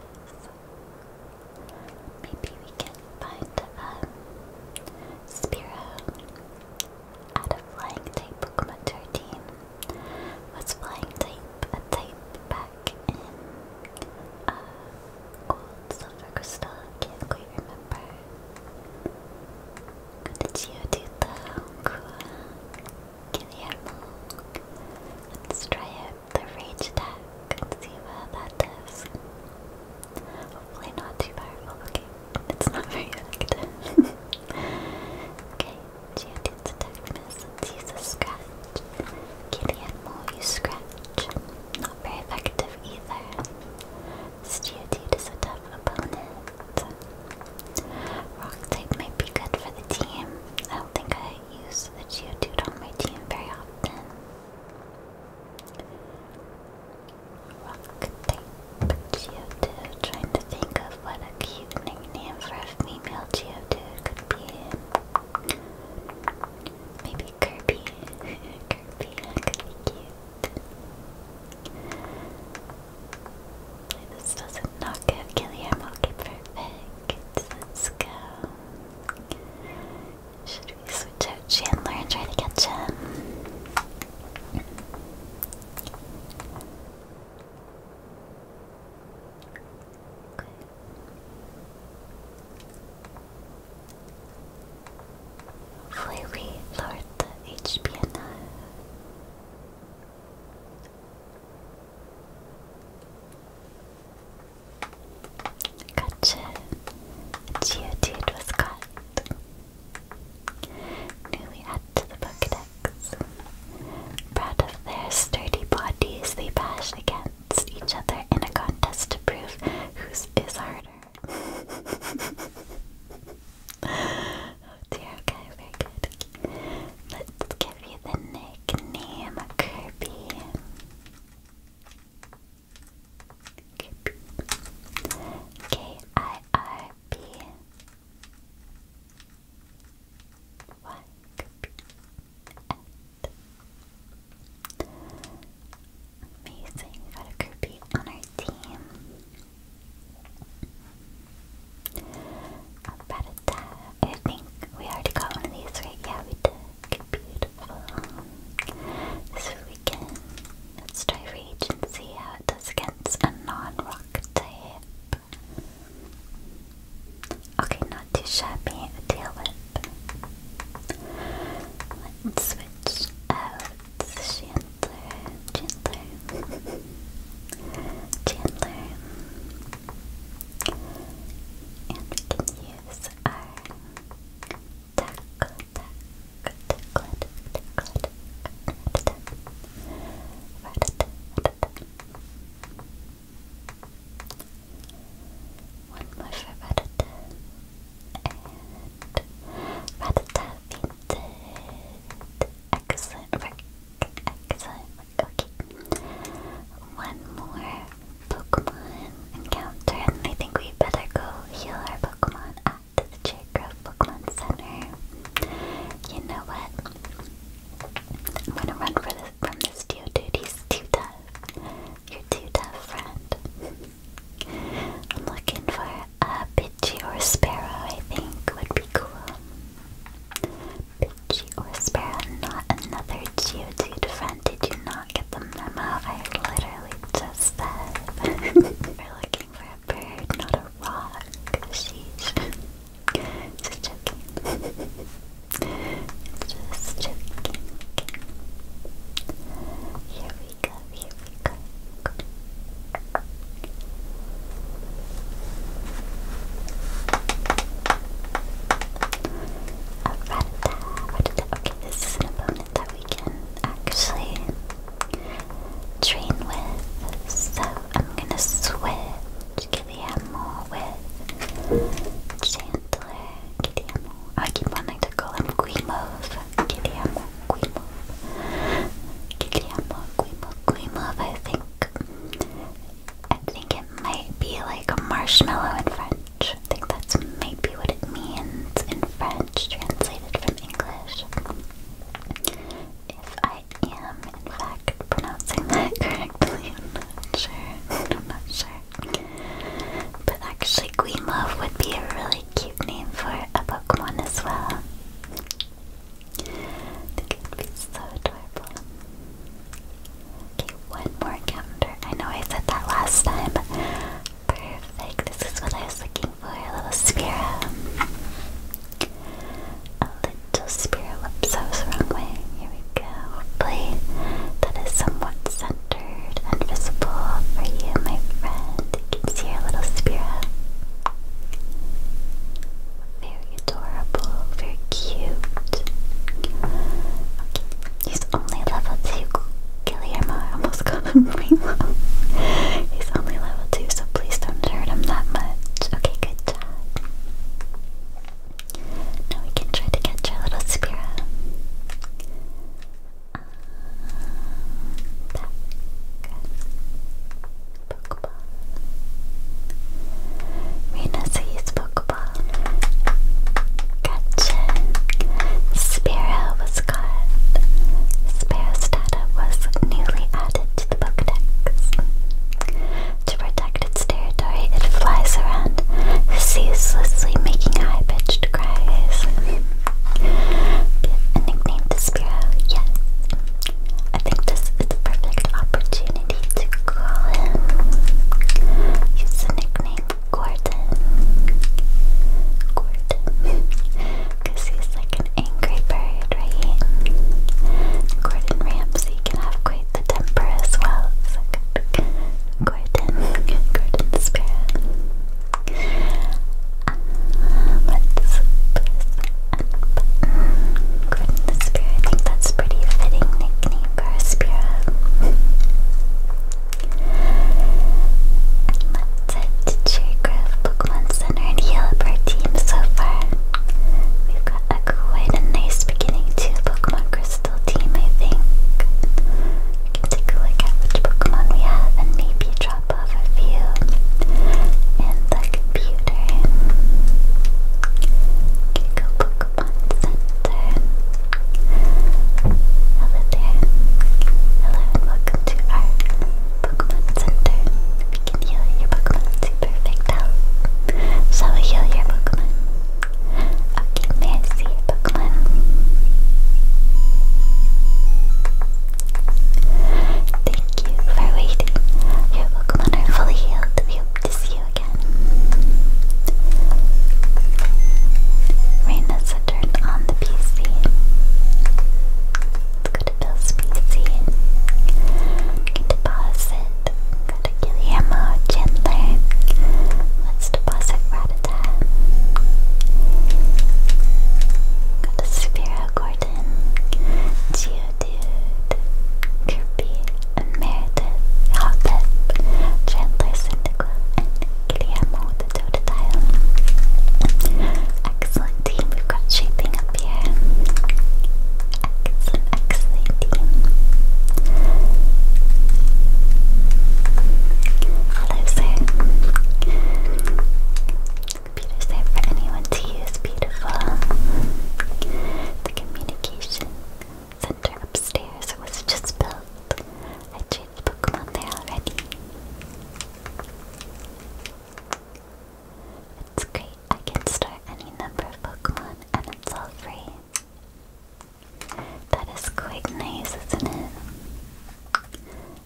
Maybe we can find um, Spiro out of Flying Type Pokemon 13. Was Flying Type a type back in uh, Gold, Silver, Crystal? Can't quite remember. Got the Geodude though, cool. Guillermo. Let's try out the Rage attack see what that does. Hopefully not too powerful. Oh, okay, it's not very effective. okay, Geodude's attack miss. Let's a scratch. Gillianmo, you scratch. Not very effective either. This is a tough opponent. Rock type might be good for the team. I don't think I use the Geodude on my team very often. Rock type Geodude. Trying to think of what a cute nickname for a female Geodude could be. Maybe Kirby. Kirby could be cute. this doesn't knock out Guillermo. Okay, perfect. Let's go. Should we switch out Chandler and try to catch him? Okay. Hopefully the HP Gotcha. Geodude was caught. Newly added to the Pokedex. Proud of their sturdy bodies, they bash against each other in a contest to prove who's is harder. oh dear, okay, very good. Let's give you the nickname Kirby. K I R B. What? Amazing, we got a groupie on our team. About I think we already got one of these, right? Yeah, we did. Beautiful. This weekend, let's try Rage and see how it does against a non-rock type. Okay, not too shabby. Tail whip. Let's switch out Chandler. Chandler. Chandler. And we can use our tackle. One more for Rattata. And Rattata painted. Excellent work. Excellent work. Okay. One more Pokemon encounter, and I think we better go heal our Pokemon at the J-Grove Pokemon Center. You know what? I'm gonna run for this, from this Geodude. He's too tough. You're too tough, friend. I'm looking for a Pidgey or Sparrow, I think would be cool. Pidgey or Sparrow, not another Geodude friend. Did you know get the memo. I literally just said we're looking for a bird, not a rock. Sheesh. Just joking. just joking. Here we go, here we go. Okay, this is an opponent that we can actually train with. So I'm gonna switch Guillermo with Chandler. Guillermo. Oh, I keep wanting to call him Guimov. Guillermo, Guimov. Guillermo, Guimov, Guimov, I think. I think it might be like a marshmallow in French. I think that's maybe what it means in French, translated from English. If I am, in fact, pronouncing that correctly, I'm not sure. I'm not sure. But actually, Guimauve would be a really cute name for a Pokemon as well. think it would be so adorable. Okay, one more counter. I know I said that last time, Perfect. This is what I was looking for. A little Spiro. A little Spiro. Whoops, I was the wrong way. Here we go. Hopefully that is somewhat centered invisible for you, my friend. You can see your little Spiro. Very adorable. Very cute. He's only level 2. Guillermo, I almost called him Remo. He's only level 2, so please don't hurt him that much. Okay, good job. Now we can try to catch our little Spira. Um, back. Pokeball. Rina sees Pokeball. Gotcha. Sparrow was caught. Sparrow's was newly added to the Pokedex. To protect its territory, it flies around, ceaselessly making high pitched cries. A nickname to Sparrow, yes. I think this is the perfect opportunity to call him. Use the nickname Gordon. Gordon. he's like an angry bird, right? Gordon Ramsay can have quite the temper as well. Gordon. Gordon um, the Spirit. I think that's pretty fitting nickname for spirit. Let's head Cherrygrove Pokemon Center and heal team so far. We've got quite a nice beginning to Pokemon Crystal team, I think. We can take a look at which Pokemon we have and maybe drop off a few in the computer. go Pokemon Center. Hello there. Hello and to our Pokemon Center. We can heal your Pokemon to perfect health. Shall we heal your Pokemon? Okay, may Pokemon? Thank you for waiting. Your Pokemon are fully healed. We hope to see you again. Raina's also turn on the PC. Let's go to Bill's PC. Can deposit. Go to Guillermo Chandler. Let's deposit Ratata. Go to Spiro Gordon. Geodude. Kirby and Meredith. Hobbit. Chandler Syndical and Guillermo the Excellent team, we've got shaping up here. Excellent, team. Hello, sir. Computer's for anyone to use. Beautiful. The communication center upstairs was just built with Pokemon there already. It's great, I can start any number of Pokemon and it's all free. That is quite nice, isn't it?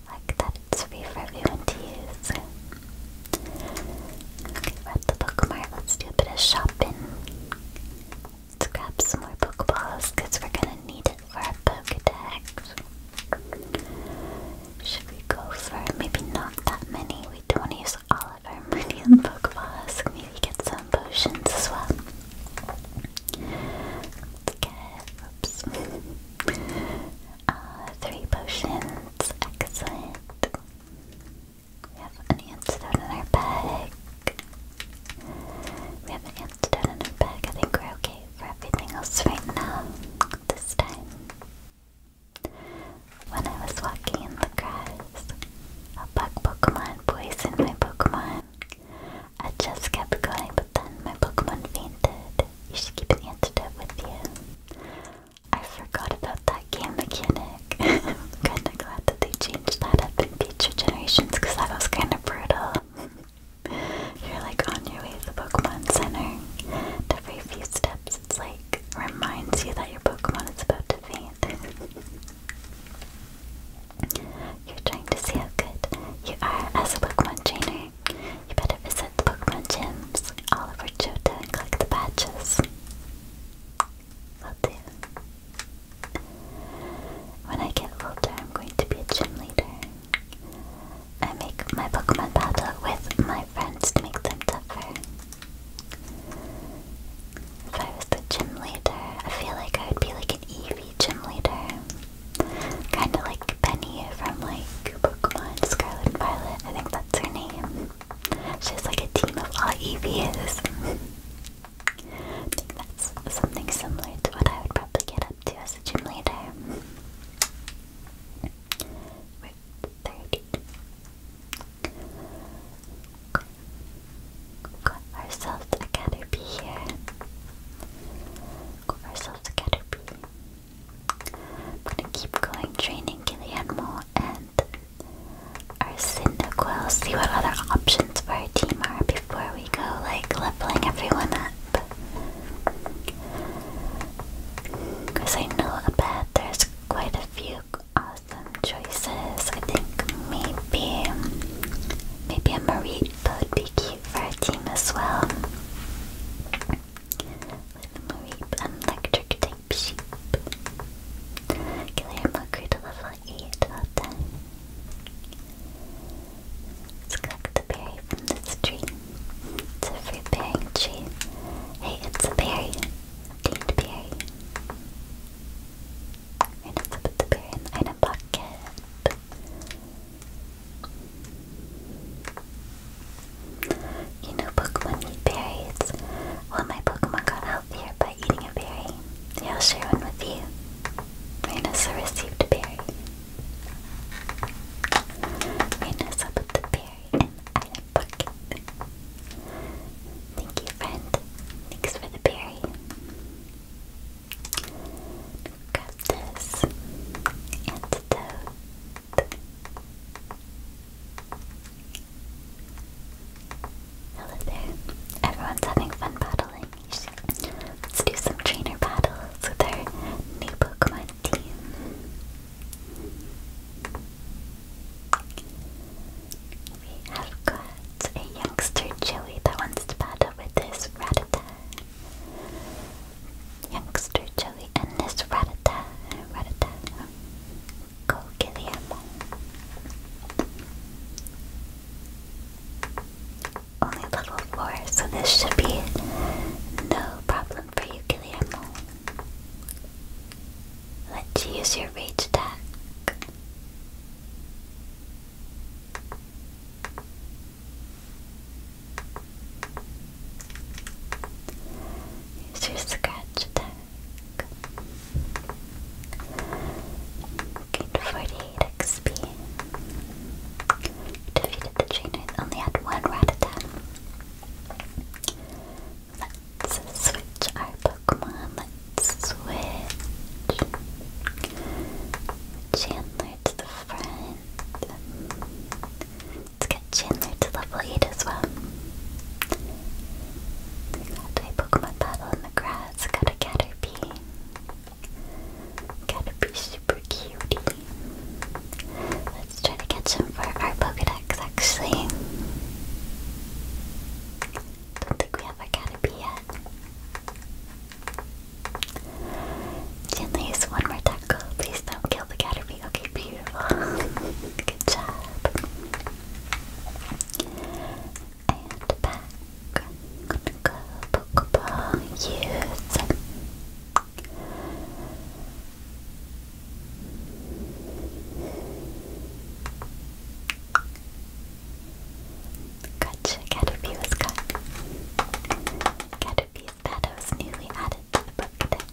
Like that it's free for everyone to use. Okay, the Pokemart, let's do a bit of shopping. Let's grab some more Pokeballs because we're gonna need it for a Pokedex. Should we go for maybe not that many? We don't use all of our money on Pokeballs. Maybe get some potions as well. let oops. uh, three potions. Excellent. We have an antidote in our bag. We have an down in her bag. I think we're okay for everything else right now, this time. When I was walking in the grass, a bug Pokemon poisoned my Pokemon. I just kept going, but then my Pokemon fainted. You should keep an antidote with you. I forgot about that game mechanic. I'm kinda glad that they changed that up in future generations because that was kinda brutal. You're like on your way to the Pokemon Center. every few steps, it's like reminds you that your Pokemon is about to faint. You're trying to see how good you are as a Pokemon trainer. You better visit the Pokemon gyms all over Chota and collect the badges. Will do. When I get older, I'm going to be a gym leader. I make my Pokemon battle with my friends to make them tougher. If I was the gym leader, I feel like I would be like an Eevee gym leader. Kinda like Penny from like Pokemon Scarlet and Violet, I think that's her name. She's like a team of all Eevees. I think that's something similar to what I would probably get up to as a gym leader with 30. Got, ourselves a Caterpie here. Got ourselves a Caterpie. I'm gonna keep going training Guillermo and our Cyndaquil, see what other options for our team are before we go like leveling everyone up. Because I know a bet there's quite a few awesome choices. I think maybe maybe a Maripa would be cute for our team as well. With Maripa and electric type sheep. Can I have a level 8 out of Let's collect the berry from this tree. It's a fruit bearing tree. Hey, it's a berry. Obtained berry. We're not to put the berry in a bucket. pocket. You know Pokemon eat berries. Well, my Pokemon got healthier by eating a berry. Yeah, I'll share one with you. Rhinosaur received a berry. You're put the berry in the item Thank you, friend. Thanks for the berry. Grab this Hello there. Everyone's having fun battling. Let's do some trainer battles with our new Pokemon team. We have got a youngster Joey that wants to battle with this Rattata. Youngster Joey and this Rattata. Rattata. Go Guillermo only level 4, so this should be no problem for you, Guillermo. let you use your rage attack. Use your scratch attack. Gain 48 XP defeated the chain who only had one Rattata. Let's switch our Pokemon. Let's switch Chandler to the front. Let's get Chandler to level 8 as well. We got a Pokemon battle in the grass, got a Caterpie. Gotta be super cutie. Let's try to catch him for our Pokedex actually. Don't think we have our Caterpie yet. Gently use one more tackle. Please don't kill the Caterpie. Okay, beautiful. Good job. And back. gonna go Pokeball use. Gotcha, Caterpie was caught. Caterpie's newly added to the Pokedex.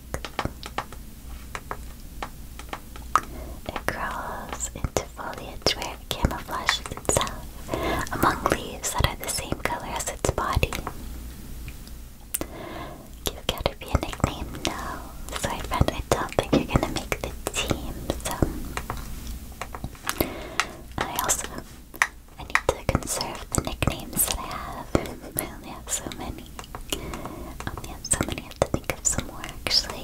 It crawls into foliage where it camouflages itself among leaves that are the same color as its body. Give Caterpie a nickname? No. Sorry friend, I don't think you're gonna make the team, so... I also... I need to conserve the nicknames that I have. I only have so many. I only have so many, I have to think of some more actually.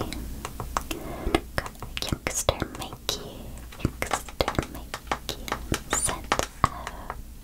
Got Youngster Mikey, Youngster Mikey, sent uh,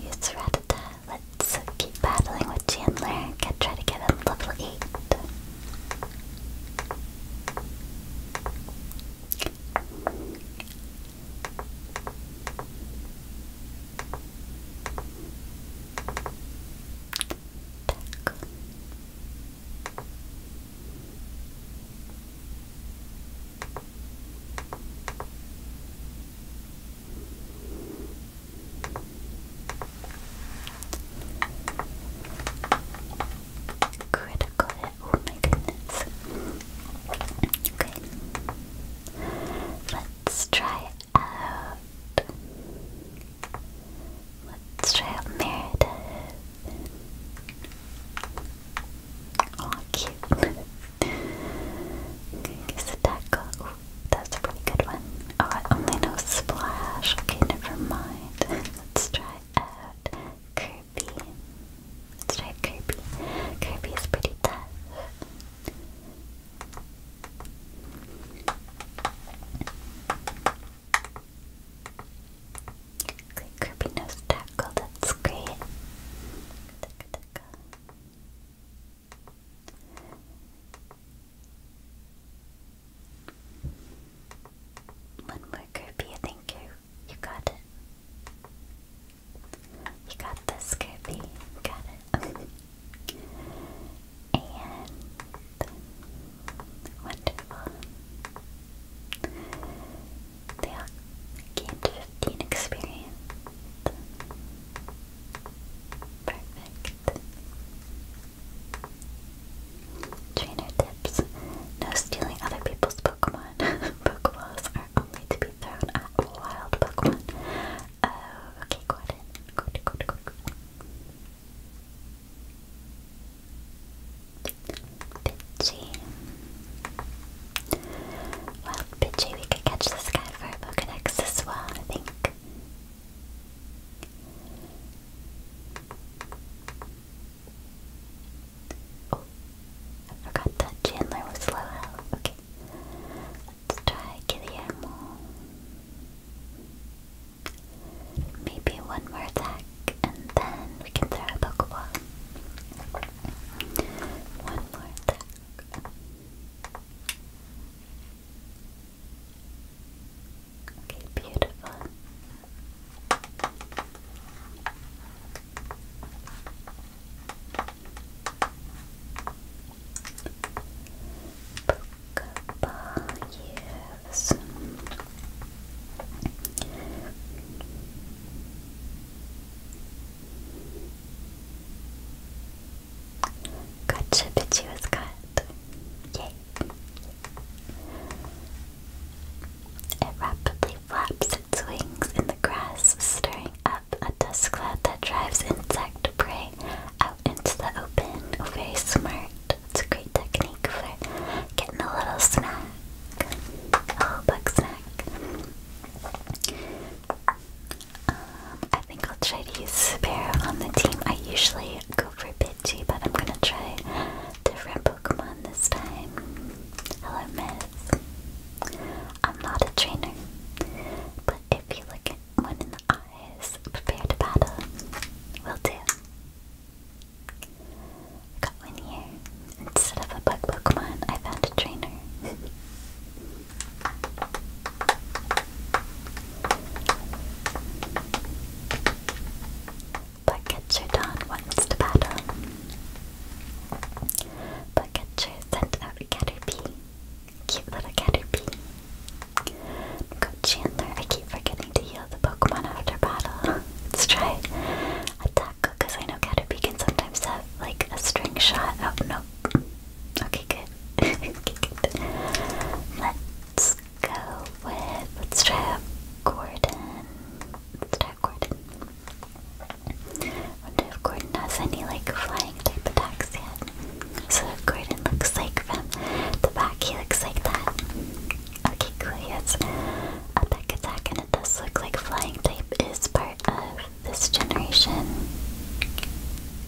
Use Rattata. Let's keep battling with Chandler. Get, try to get him level 8. Critical oh my goodness. Okay. Let's try out. Let's try out Meredith. Aw, cute. okay, guess a tackle. that's a pretty good one. Oh, only know Splash. Okay, never mind. Let's try out Kirby. Let's try Kirby. Kirby is pretty tough. Great Kirby nose tackle, that's great. One more Kirby, I you you got it. You got this Kirby, got it. wonderful. They all gained 15 experience. Perfect. Trainer tips. No stealing other people's Pokemon. Pokeballs are only to be thrown at wild Pokemon. Oh, okay, go ahead. Go, go, go, Pidgey. Well, Pidgey, we could catch this guy for a Pokedex as well, I think. Oh, I forgot Chandler was low health. Let's try Guillermo. Maybe one more attack and then we can throw a Pokeball. One more attack. Okay, beautiful. Pokeball use. Gotcha, Pichu is cut. Yay. It rapidly flaps its wings in the grass, stirring up a dust cloud that drives insect prey out into the open. Very smart. It's a great technique for getting a little snack. Oh, bug snack. Um, I think I'll try to use Sparrow on the team. I usually go for Pidgey, but I'm gonna try different Pokemon this time. Hello, Miss. I'm not a trainer, but if you look at one in the eyes, prepare to battle. Will do. Got one here. Instead of a bug Pokemon, I found a trainer. Bugcatcher Dawn wants to battle. Bugcatcher sent out Caterpie. Cute little Caterpie. Got Chandler. I keep forgetting to heal the Pokemon after battle. Let's try Attack because I know Caterpie can sometimes have like a string shot. Oh, no. Okay, good. Let's go with. Let's try Gordon. let Gordon. wonder if Gordon has any like flying type attacks yet. So Gordon looks like from the back, he looks like that. Okay, cool. He has Attack Attack, and it does look like Flying type is part of this generation.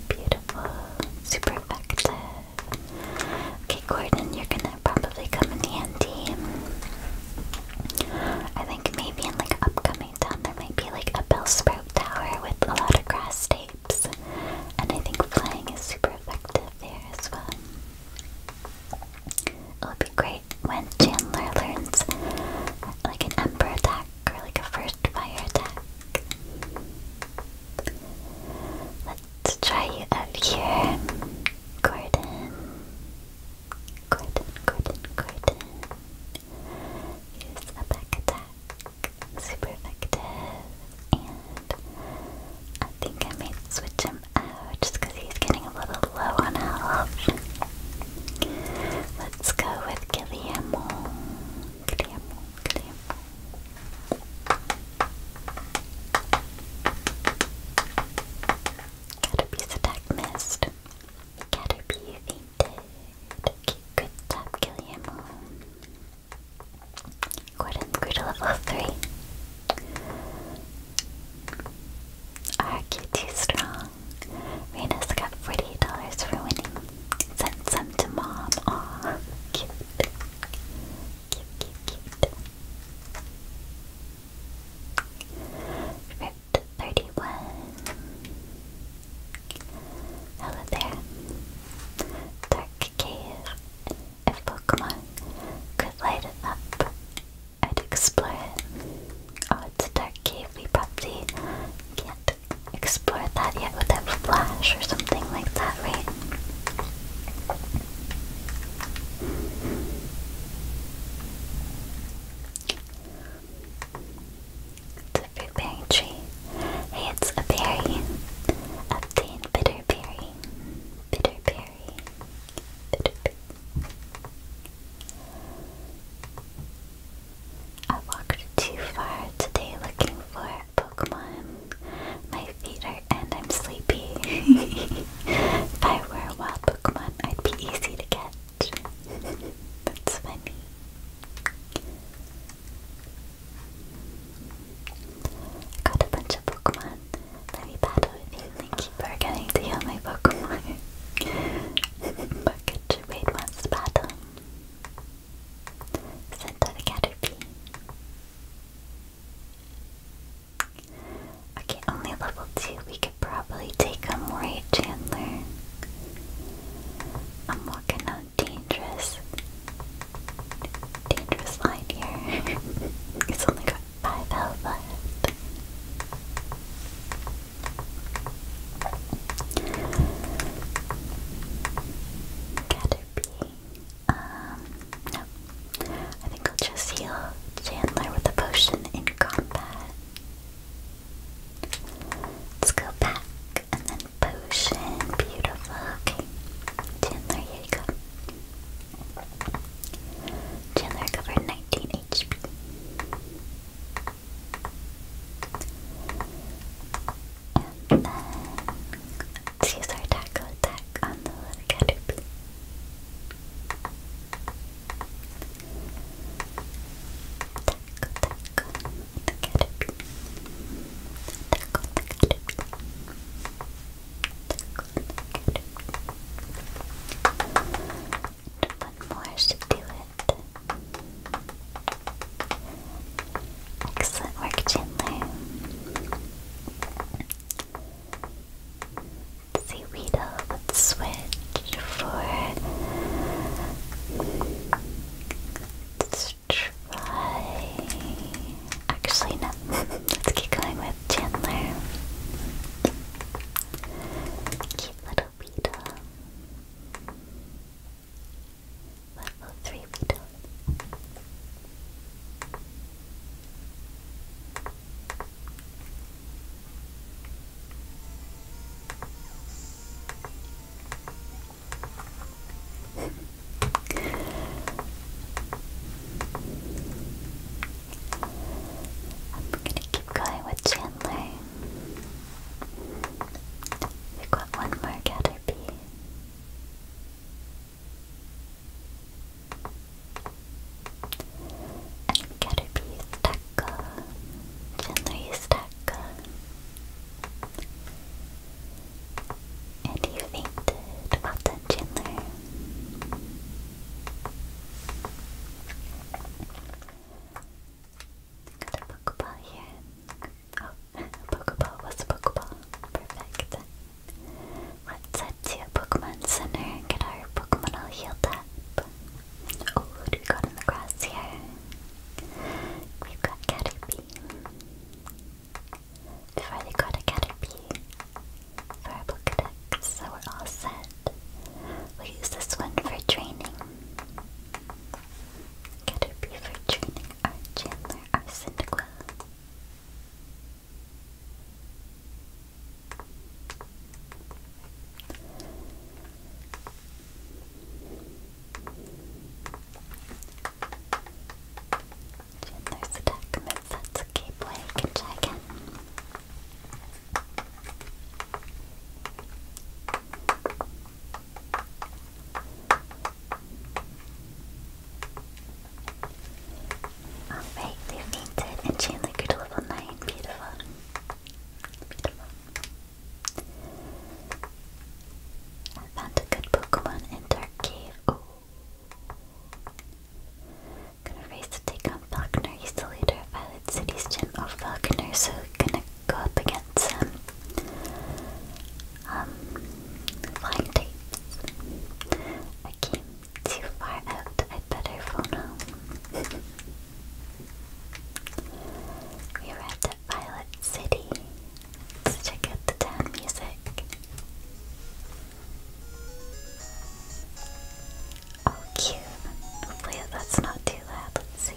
Beautiful, super effective. Okay, Gordon, you're gonna probably come in handy. I think maybe in like upcoming town there might be like a bell sprout tower with a lot of grass tapes, and I think flying is super effective there as well. It'll be great when Chandler learns like an ember attack or like a first fire attack. Let's try you out here. Gordon. Gordon, Gordon, Gordon. Use a back attack. Super effective. And I think I may switch him him um, uh, just because he's getting a little low on health. Let's go with Guillermo. Guillermo, Guillermo. Caterpie's attack missed. Caterpie fainted. good job, Guillermo. Gordon grew level 3. I Argue too strong. rena got $48 for winning. Sent some to mom. Aw, cute. Cute, cute, cute. Ripped Hello there. Dark cave. If Pokemon could light it up, I'd explore it. Oh, it's a dark cave. We probably can't explore that yet without flash or something like that, right? It's a fruit bearing tree. Hey, it's a berry. Obtain bitter berry. Bitter berry. I walked too far today looking for Pokemon. My feet are and I'm sleepy. if I were a wild Pokemon, I'd be easy to get. That's funny. Got a bunch of Pokemon. Let me battle with you, thank keep forgetting to heal Pokemon. but could you battle? Sent to Caterpie. Okay, only level 2. We could probably take on Moray Chandler. I'm walking on dangerous. Dangerous line here. it's only got by Velvet. Caterpie. Um, no. I think I'll just heal Chandler with a potion in combat. Let's go back and then potion. Beautiful. Okay. Chandler, here you go. Chandler covered 19 let's use our tackle attack on the little caterpie. Tackle, tackle the caterpie. Tackle the caterpie. Tackle the caterpie. One more should do it. Excellent work, Chandler. Let's switch for. let Actually, no. Let's keep going with Chandler. Cute little Vito. I'm gonna keep going with Chandler. We've got one more Caterpie. And Caterpie is Taco. Chandler is Taco. And you fainted. Well done, Chandler. Got a Pokeball here. Oh, a Pokeball. What's a Pokeball? Perfect. Let's head to Pokemon Center and get our Pokemon all healed up. Oh, what do we got in the grass here? We've got Caterpie. We've already got a Caterpie for our Pokedex so we're all set. We'll use this one for training. Caterpie for training our Chandler, our Cyndaquil. Chandler's attack moves, that's okay can try again. Alright, they're fainted and Chandler could level 9. Beautiful. Beautiful. I found a good Pokemon in Dark Cave. Ooh. Gonna race to take on Buckner, he's the Violet City's gym of Falconer, so gonna go up against some um, I came too far out, i better phone home. we arrived at Violet City. Let's check out the town music. Oh, cute. Hopefully that's not too loud. Let's see.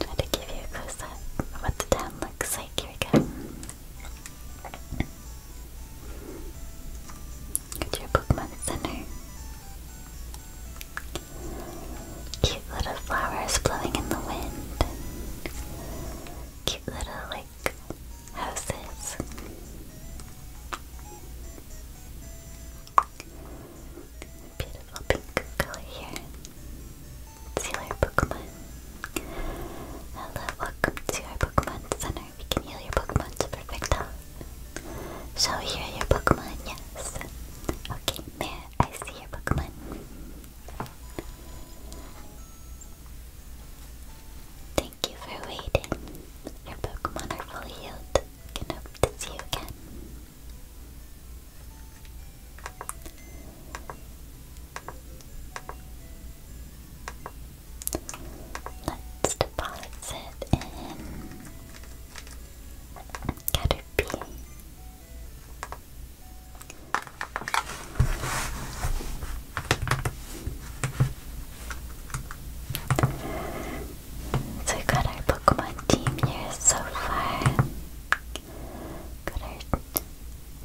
Try to give you a close up of what the town looks like. Here we go. Go to cute little flowers blowing in the wind cute little like houses. Beautiful pink color here. See our Pokemon. Hello, welcome to our Pokemon Center. We can heal your Pokemon to perfect health. Shall your Pokemon? Yes. Okay, there. I see your Pokemon. Thank you for waiting. Your Pokemon are fully healed. Can hope to see you again. Let's deposit in Caterpie. So we got our Pokemon team here so far. Got our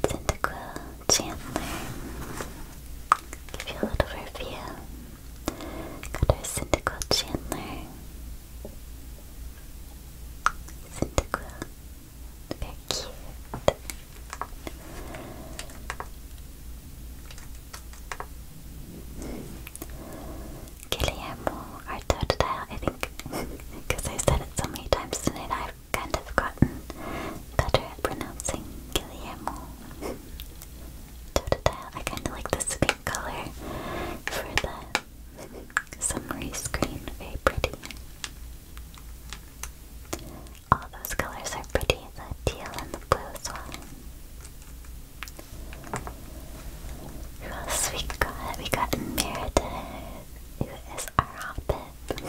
Cyndaquil, Chandler. Give you a little review. Got our Cyndaquil, Chandler. Cyndaquil, they're cute. I think, because i said it so many times tonight, I've kind of gotten better at pronouncing Guillermo. Totodile, I kind of like this pink color for the Summary screen, very pretty. All those colors are pretty, the teal and the blue as well. Who else we got? We got Meredith, who is our hobbit.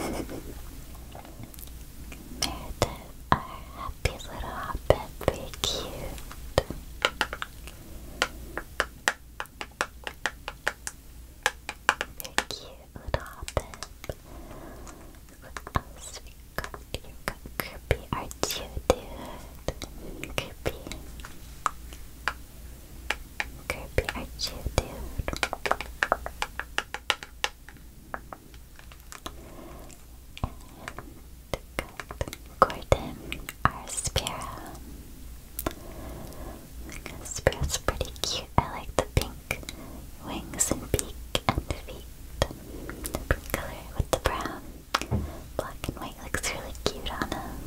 Meredith, our happy little hobbit, very cute. Thank you, Robin. What else we got? You got Kirby, aren't you, dude? Kirby. Kirby, aren't you, dude? And got Gordon, our Sprout's pretty cute. I like the pink wings and beak and feet. The pink color with the brown. Black and white looks really cute on him.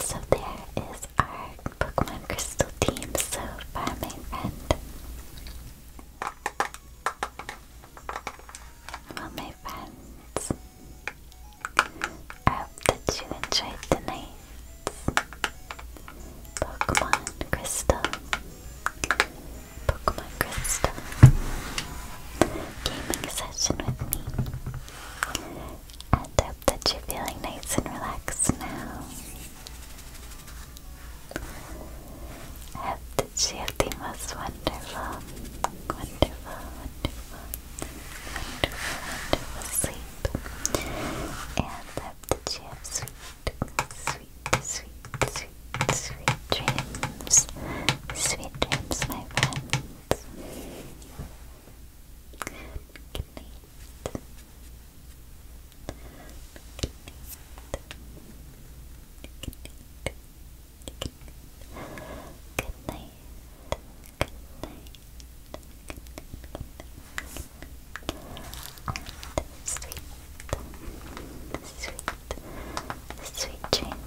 So there is our Pokemon Crystal team so far, my friend. Well, my friends, I hope that you enjoyed tonight's Pokemon Crystal. Pokemon Crystal gaming session with me. I hope that you're feeling nice and relaxed now. I hope that you have the most wonderful, wonderful, wonderful and fall to and let the sweet, sweet, sweet, sweet, sweet dreams, sweet dreams, my friends. Good night. Good night. sweet, sweet, sweet dreams,